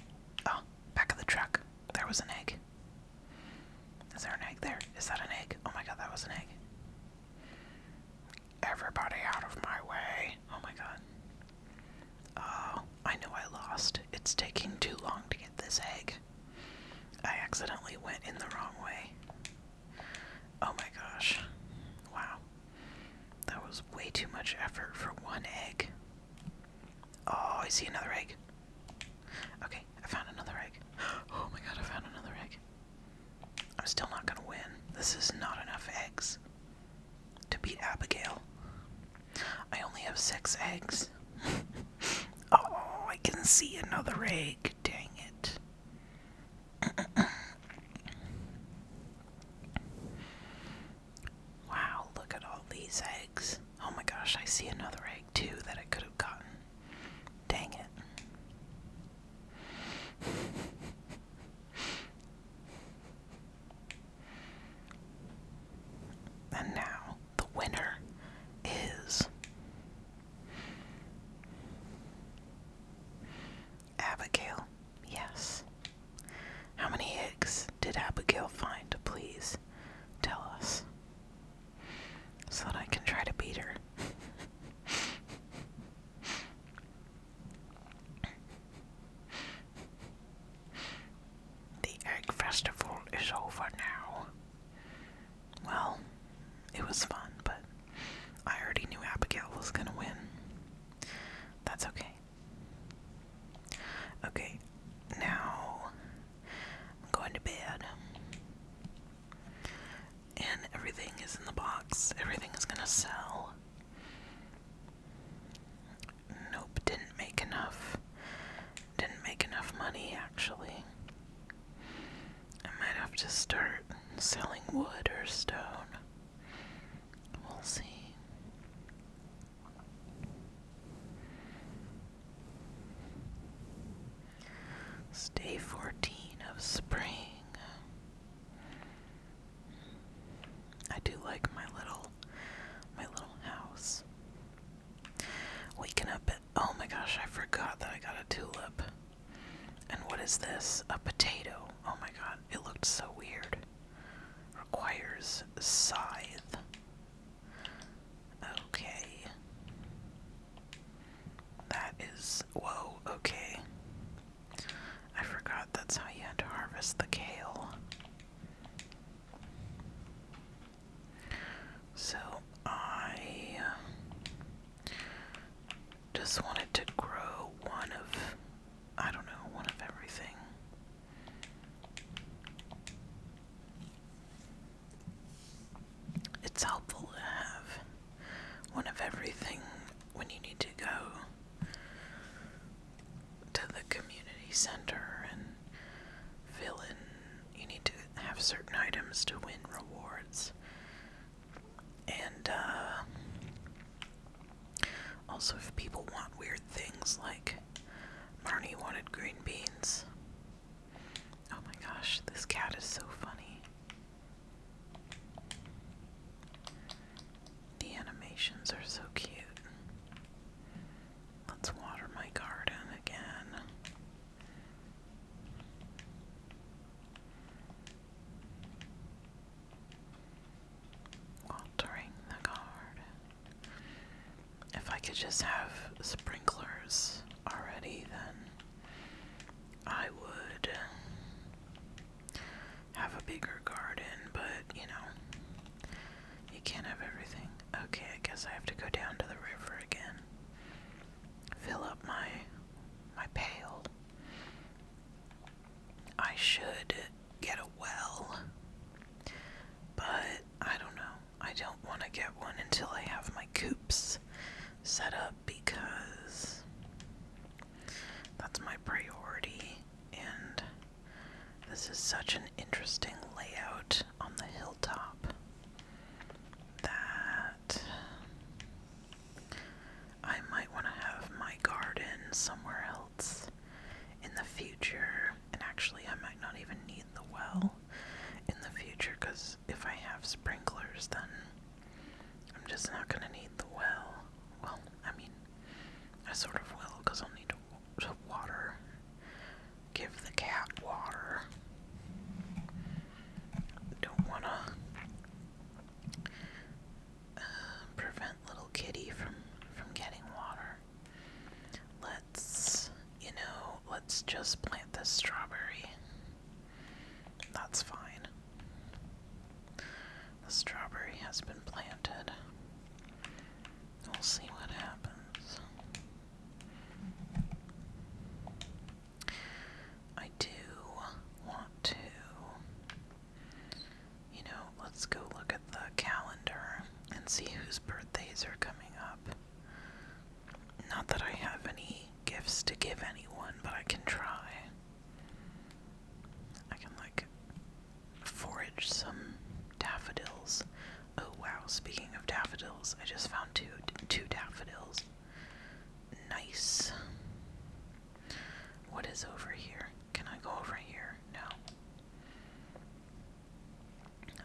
Oh, back of the truck. There was an egg. Is there an egg there? Is that an egg? Oh my god, that was an egg. Everybody out of my way. Oh my god. Oh, I know I lost. It's taking too long to get this egg. I accidentally went in the wrong way. Oh my gosh. Wow. That was way too much effort for one egg. Oh, I see another egg. Okay, I found another egg. Oh my god, I found another egg. I'm still not gonna win. This is not enough eggs to beat Abigail. I only have six eggs. oh, I can see another egg. Dang it. wow, look at all these eggs. Oh my gosh, I see another egg too that I could have gotten. Dang it. And now the winner is Abigail. Yes. How many eggs did Abigail find? Please tell us so that I can try to beat her. the egg festival is over now. Well, it was fun, but I already knew Abigail was gonna win. That's okay. Okay, now I'm going to bed. And everything is in the box, everything is gonna sell. Nope, didn't make enough. Didn't make enough money actually. I might have to start selling wood or stone. We'll see. day 14 of spring. I do like my little my little house. Waking up. Oh my gosh, I forgot that I got a tulip. And what is this? A potato. Oh my god, it looked so weird. Requires scythe. Okay. That is. Whoa, okay. I forgot that's how you harvest the kale. So I uh, just wanted to grow one of, I don't know, one of everything. It's helpful to have one of everything when you need to go to the community center and fill in you need to have certain items to win rewards. And uh, also, if people want weird things, like Marnie wanted green beans. Oh my gosh, this cat is so funny. The animations are so cute. Let's water my garden again. Watering the garden. If I could just have sprinklers already, then I would have a bigger garden, but you know, you can't have everything. Okay, I guess I have to go down to the river again. Fill up my my pail. I should get a well. But I don't know. I don't want to get one until I have my coops set up because that's my priority and this is such an interesting layout on the hilltop that I might want to have my garden somewhere else in the future. And actually, I might not even need the well in the future because if I have sprinklers, then I'm just not going to need the well. Well, I mean, I sort of will because I'll need to, to water Give the cat water. Don't wanna uh, prevent little kitty from from getting water. Let's, you know, let's just plant this strawberry. That's fine. The strawberry has been planted. We'll see what happens. I do want to, you know, let's go look at the calendar and see whose birthdays are coming up. Not that I have any gifts to give anyone, but I can try. I can, like, forage some daffodils. Oh wow, speaking of daffodils, I just found two two daffodils. Nice. What is over here? Can I go over here? No.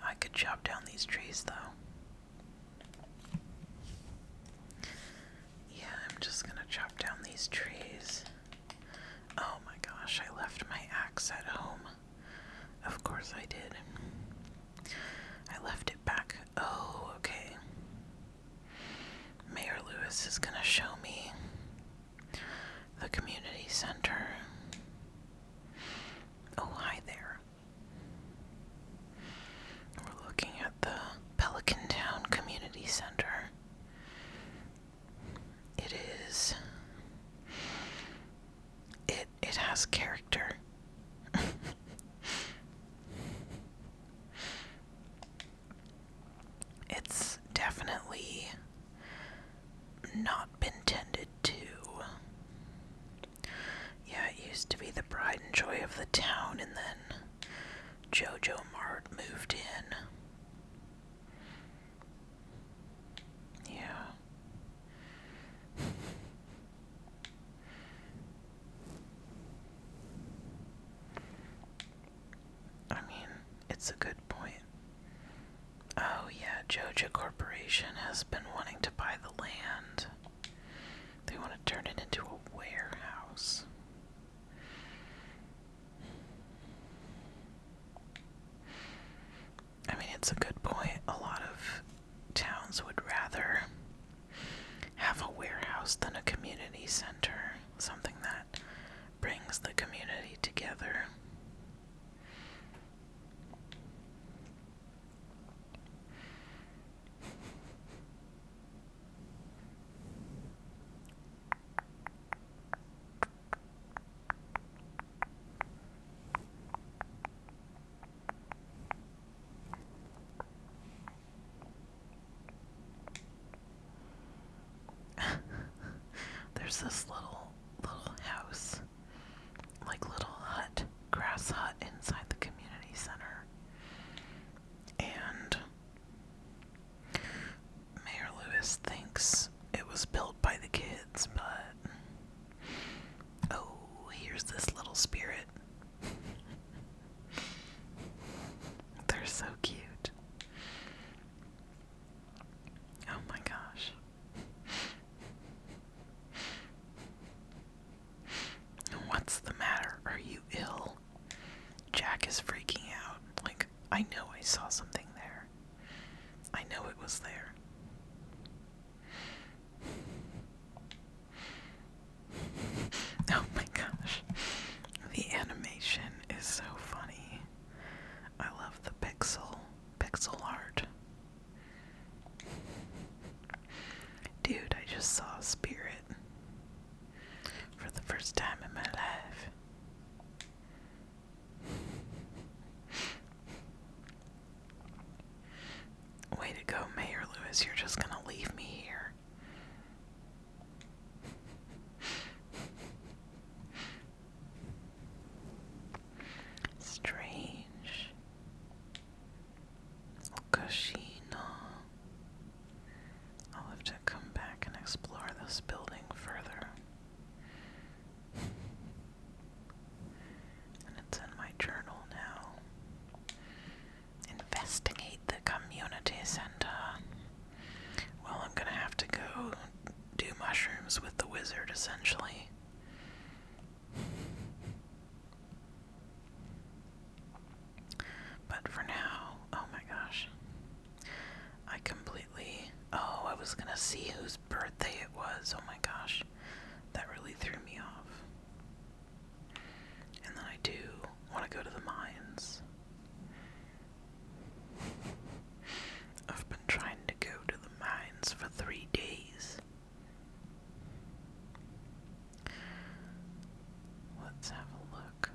I could chop down these trees though. Yeah, I'm just gonna chop down these trees. Oh my gosh, I left my axe at home. Of course I did. I left it back. Oh, okay. Mayor Lewis is going to show me the community center. Oh, hi there. We're looking at the Pelican Town Community Center. It is it it has character. it's definitely not been tended to. Yeah, it used to be the pride and joy of the town, and then Jojo Mart moved in. Yeah. I mean, it's a good point. Oh, yeah, Joja Corporation has been wanting to buy the land. They want to turn it into a warehouse. I mean, it's a good point. A lot of towns would rather have a warehouse than a community center, something that brings the community together. There's this little little house, like little hut, grass hut inside the community center. And Mayor Lewis thinks it was built by the kids, but Oh, here's this little spirit. They're so cute. Oh my gosh. What's the matter? Are you ill? Jack is freaking out. Like, I know I saw something there. I know it was there. oh my gosh. The animation is so funny. I love the pixel pixel art. Dude, I just saw Spirit for the first time in my life. Way to go, Mayor Lewis. You're just gonna leave me here. Strange. Okashino. I'll have to come back and explore this building further. And it's in my journal now. Investigate the community center. Well, I'm gonna have to go do mushrooms with the wizard, essentially. But for now, oh my gosh. I completely. Oh, I was gonna see whose birthday it was. Oh my gosh. That really threw me off. And then I do want to go to the mines. I've been trying to go to the mines for three days. Let's have a look.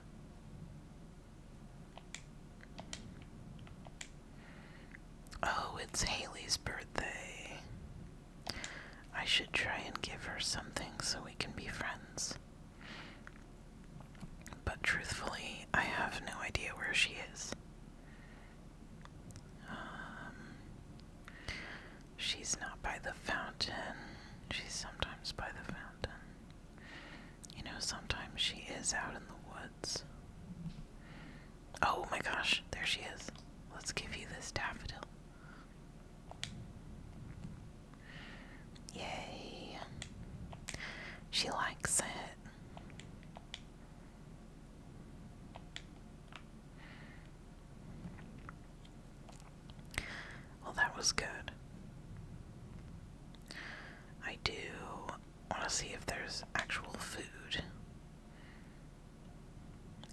Oh, it's Haley's birthday. I should try and give her something so we can be friends. But truthfully, I have no idea where she is. Um, she's not by the fountain. She's sometimes by the fountain. You know, sometimes she is out in the woods. Oh my gosh, there she is. Let's give you this daffodil. Yay. She likes it. Well, that was good. I do want to see if there's actual food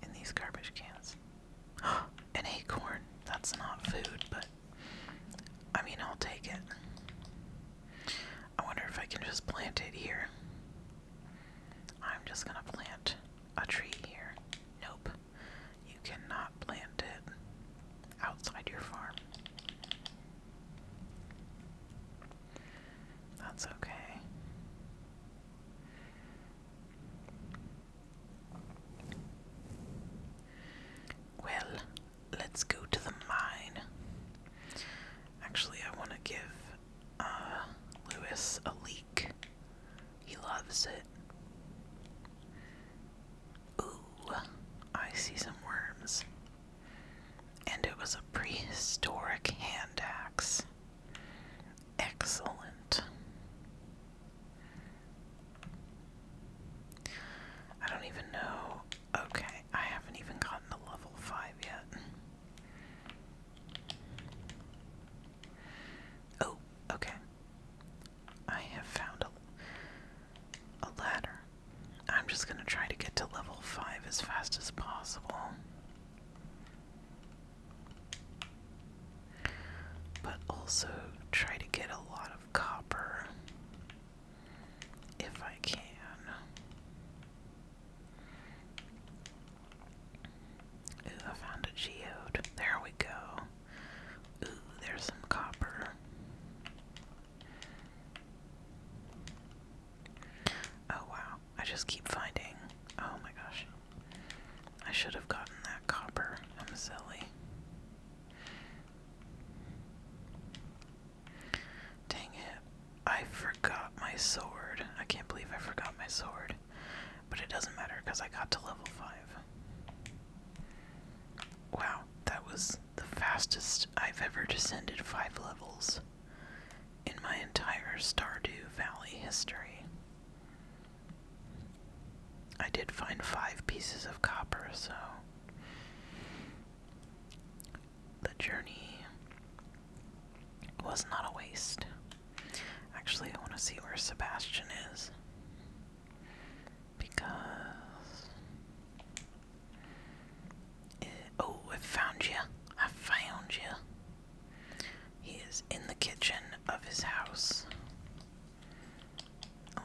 in these garbage cans. An acorn. That's not food, but I mean, I'll take it. I wonder if I can just plant it here. I'm just gonna plant a tree here. Nope. You cannot plant it outside your farm. That's okay. Well, let's go to the mine. Actually, I want to give uh, a leak. He loves it. Ooh, I see some worms. And it was a prehistoric hand axe. Excellent. I don't even know. Okay, I haven't even gotten to level 5 yet. Oh, okay. I have found a, a ladder. I'm just going to try to get to level 5 as fast as possible. But also try to get a lot of copper if I can. Ooh, I found a geode. There we go. Ooh, there's some copper. Oh wow, I just keep finding. Oh my gosh. I should have gotten that copper. I'm silly. Dang it. I forgot my sword. I can't believe I forgot my sword. But it doesn't matter because I got to level 5. Wow, that was the fastest I've ever descended 5 levels in my entire Stardew Valley history. I did find five pieces of copper, so the journey was not a waste. Actually, I want to see where Sebastian is. Because. oh, I found you. I found you. He is in the kitchen of his house.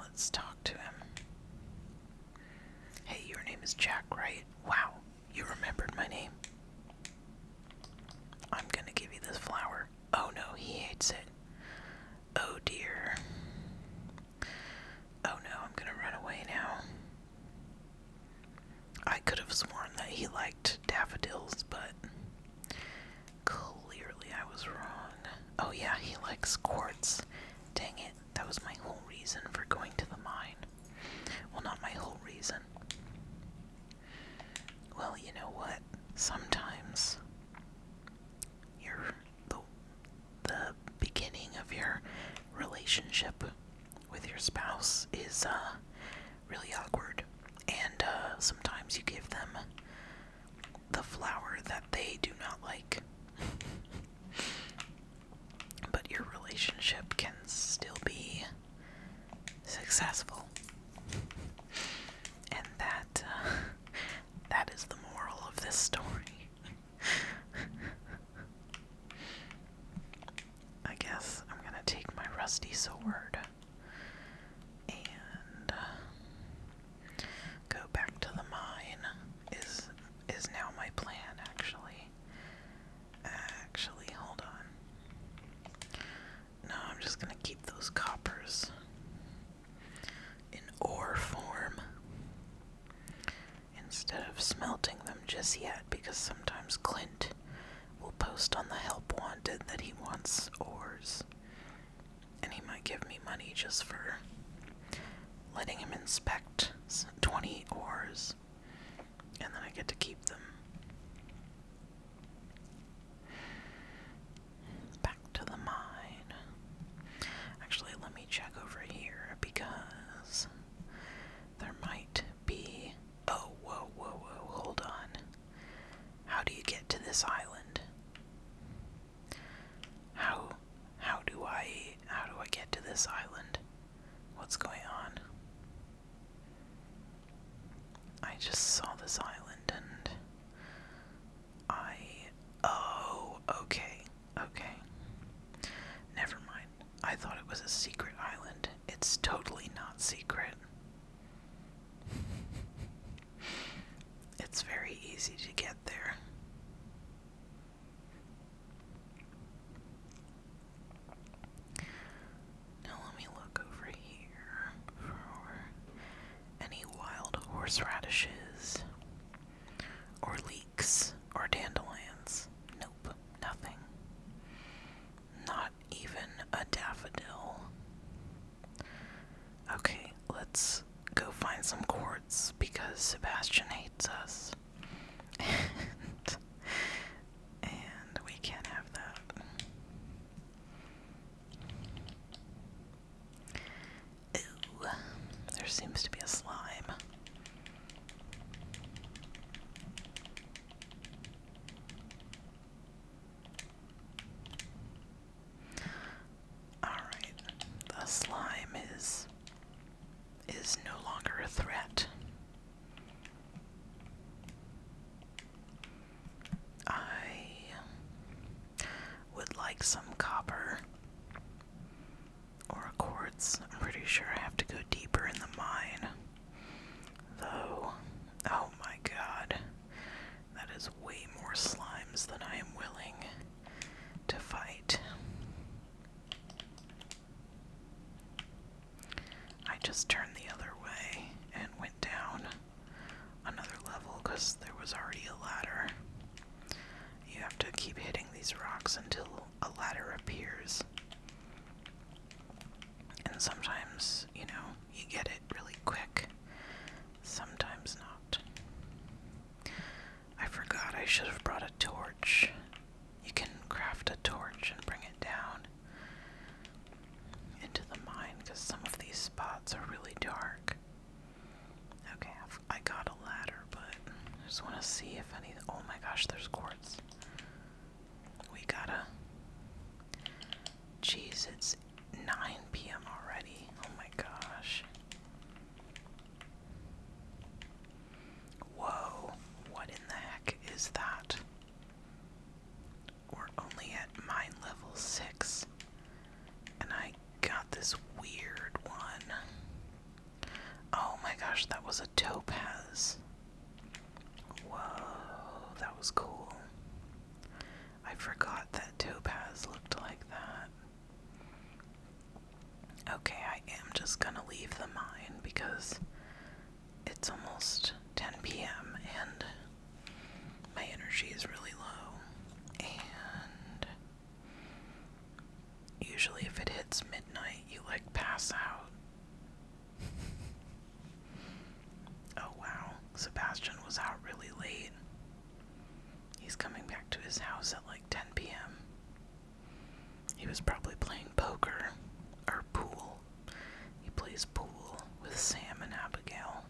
Let's talk to him. Hey, your name is Jack, right? Wow, you remembered my name. I'm gonna give you this flower. Oh no, he hates it. Oh dear. Oh no, I'm gonna run away now. I could have sworn that he liked daffodils, but Clearly I was wrong. Oh yeah, he likes quartz. Dang it, that was my whole reason for going to the mine. Well, not my whole reason. Well, you know what? Sometimes your the the beginning of your relationship with your spouse is uh really awkward, and uh, sometimes you give them the flower that they do not like. but your relationship can still be successful. And that uh, that is the moral of this story. I guess I'm going to take my rusty sword and uh, go back to the mine is is now my plan actually actually hold on no I'm just gonna keep those coppers in ore form instead of smelting them just yet because sometimes Clint will post on the help wanted that he wants ores and he might give me money just for letting him inspect 20 ores, and then I get to keep them. Back to the mine. Actually, let me check over here because there might be. Oh, whoa, whoa, whoa, hold on. How do you get to this island? How how do I how do I get to this island? What's going on? I just saw this island and I oh okay okay never mind I thought it was a secret island it's totally not secret It's very easy to get there. Now let me look over here for any wild horseradishes or leeks or dandelions. Nope, nothing. Not even a daffodil. Okay, let's go find some quartz because Sebastian hates us. and we can't have that. Ew. There seems to be a slime. Alright, the slime is is no longer a threat. I would like some copper or quartz. I'm pretty sure I have to go deeper in the mine. Though, oh my god. That is way more slimes than I am willing to fight. I just turned the other way and went down another level because there was already a ladder. You have to keep hitting these rocks until a ladder appears. And sometimes, you know, you get it really quick, sometimes not. I forgot I should have brought a torch. You can craft a torch and bring it down into the mine because some of these spots are really dark. Okay, I got a ladder, but I just want to see if any. Oh my gosh, there's quartz. We gotta. Jeez, it's 9 p.m. already. Oh my gosh. Whoa, what in the heck is that? We're only at mine level 6, and I got this weird one. Oh my gosh, that was a topaz. Whoa, that was cool. I forgot that Topaz looked like that. Okay, I am just gonna leave the mine because it's almost 10 p.m. and my energy is really low. And usually, if it hits midnight, you like pass out. Oh wow, Sebastian was out really late. He's coming back to his house at like 10 p.m. He was probably playing poker or pool. He plays pool with Sam and Abigail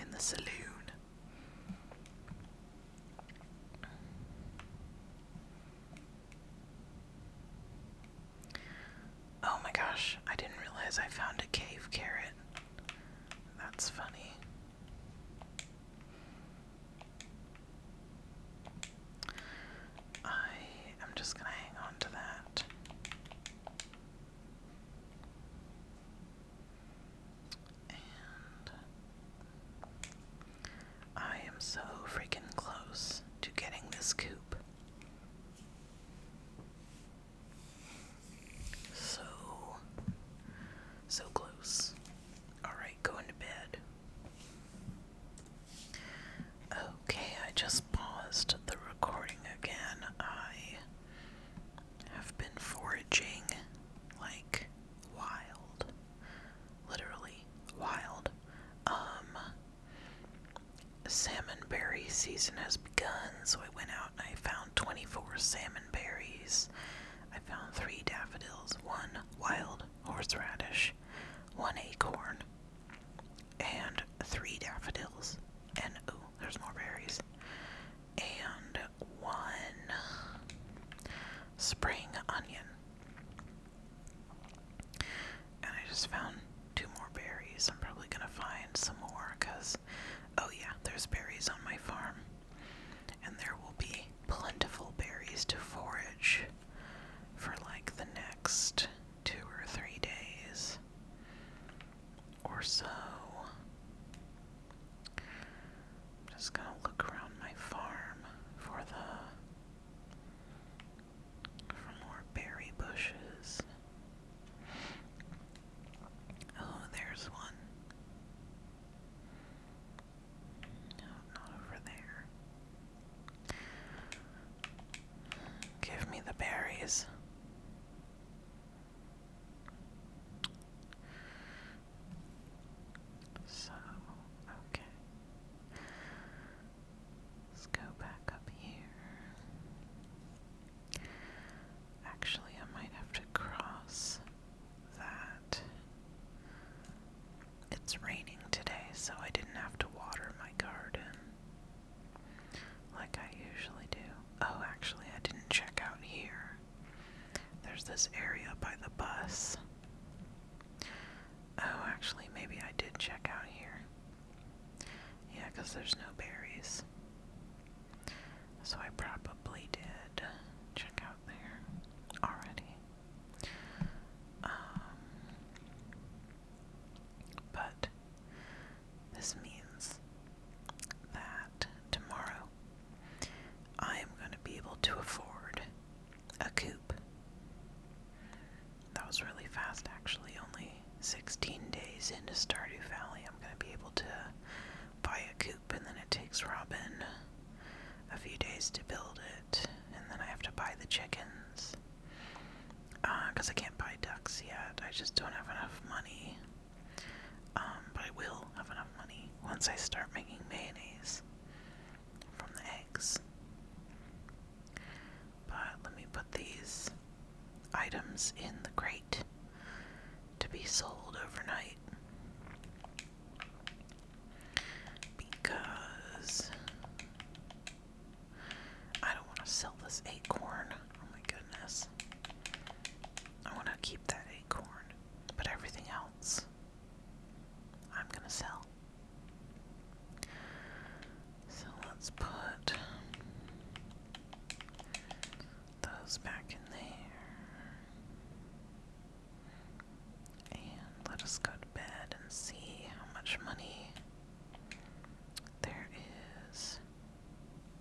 in the saloon. Oh my gosh, I didn't realize I found a cave carrot. That's funny. I am just going to hang on to that. And I am so freaking close to getting this coop. So, so close. Alright, going to bed. Okay, I just paused the recording again. I have been foraging like wild. Literally wild. Um salmon berry season has begun, so I went out and I found 24 salmon berries. I found three daffodils, one wild horseradish, one acorn, and three daffodils. And oh, there's more berries. And one spring onion. And I just found two more berries. I'm probably gonna find some more because Oh, yeah, there's berries on my farm, and there will be plentiful berries to forage for like the next two or three days or so. I'm just gonna look around my farm for the for more berry bushes. Oh, there's one. No, not over there. Give me the berries. So, okay. Let's go back up here. Actually, I might have to cross that. It's raining today, so I didn't have to water my garden like I usually do. Oh, actually, I didn't check out here. There's this area by the bus. Oh, actually, maybe I did check out here. Yeah, because there's no berries. So I probably did check out there already. Um, but this means that tomorrow I am going to be able to afford a coupe. That was really fast, actually, only 16 days into Stardew Valley, I'm going to be able to buy a coop, and then it takes Robin a few days to build it, and then I have to buy the chickens. Because uh, I can't buy ducks yet, I just don't have enough money. Um, but I will have enough money once I start making mayonnaise from the eggs. But let me put these items in the crate to be sold overnight because I don't want to sell this acorn. Oh my goodness. I want to keep that acorn, but everything else I'm going to sell. So let's put those back in there. And let us go to bed and see how much money there is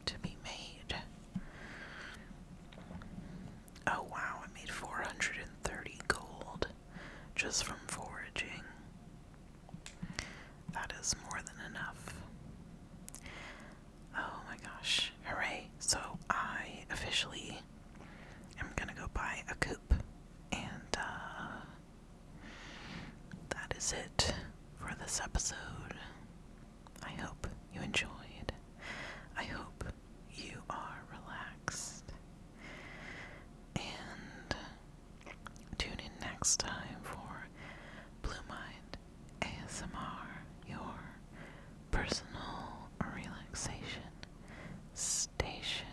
to be made. Oh wow, I made 430 gold just from foraging. That is more than enough. Oh my gosh. Hooray. So I officially am gonna go buy a coop, And uh that is it for this episode. I hope you enjoyed. I hope you are relaxed. And tune in next time for Blue Mind ASMR, your personal relaxation station.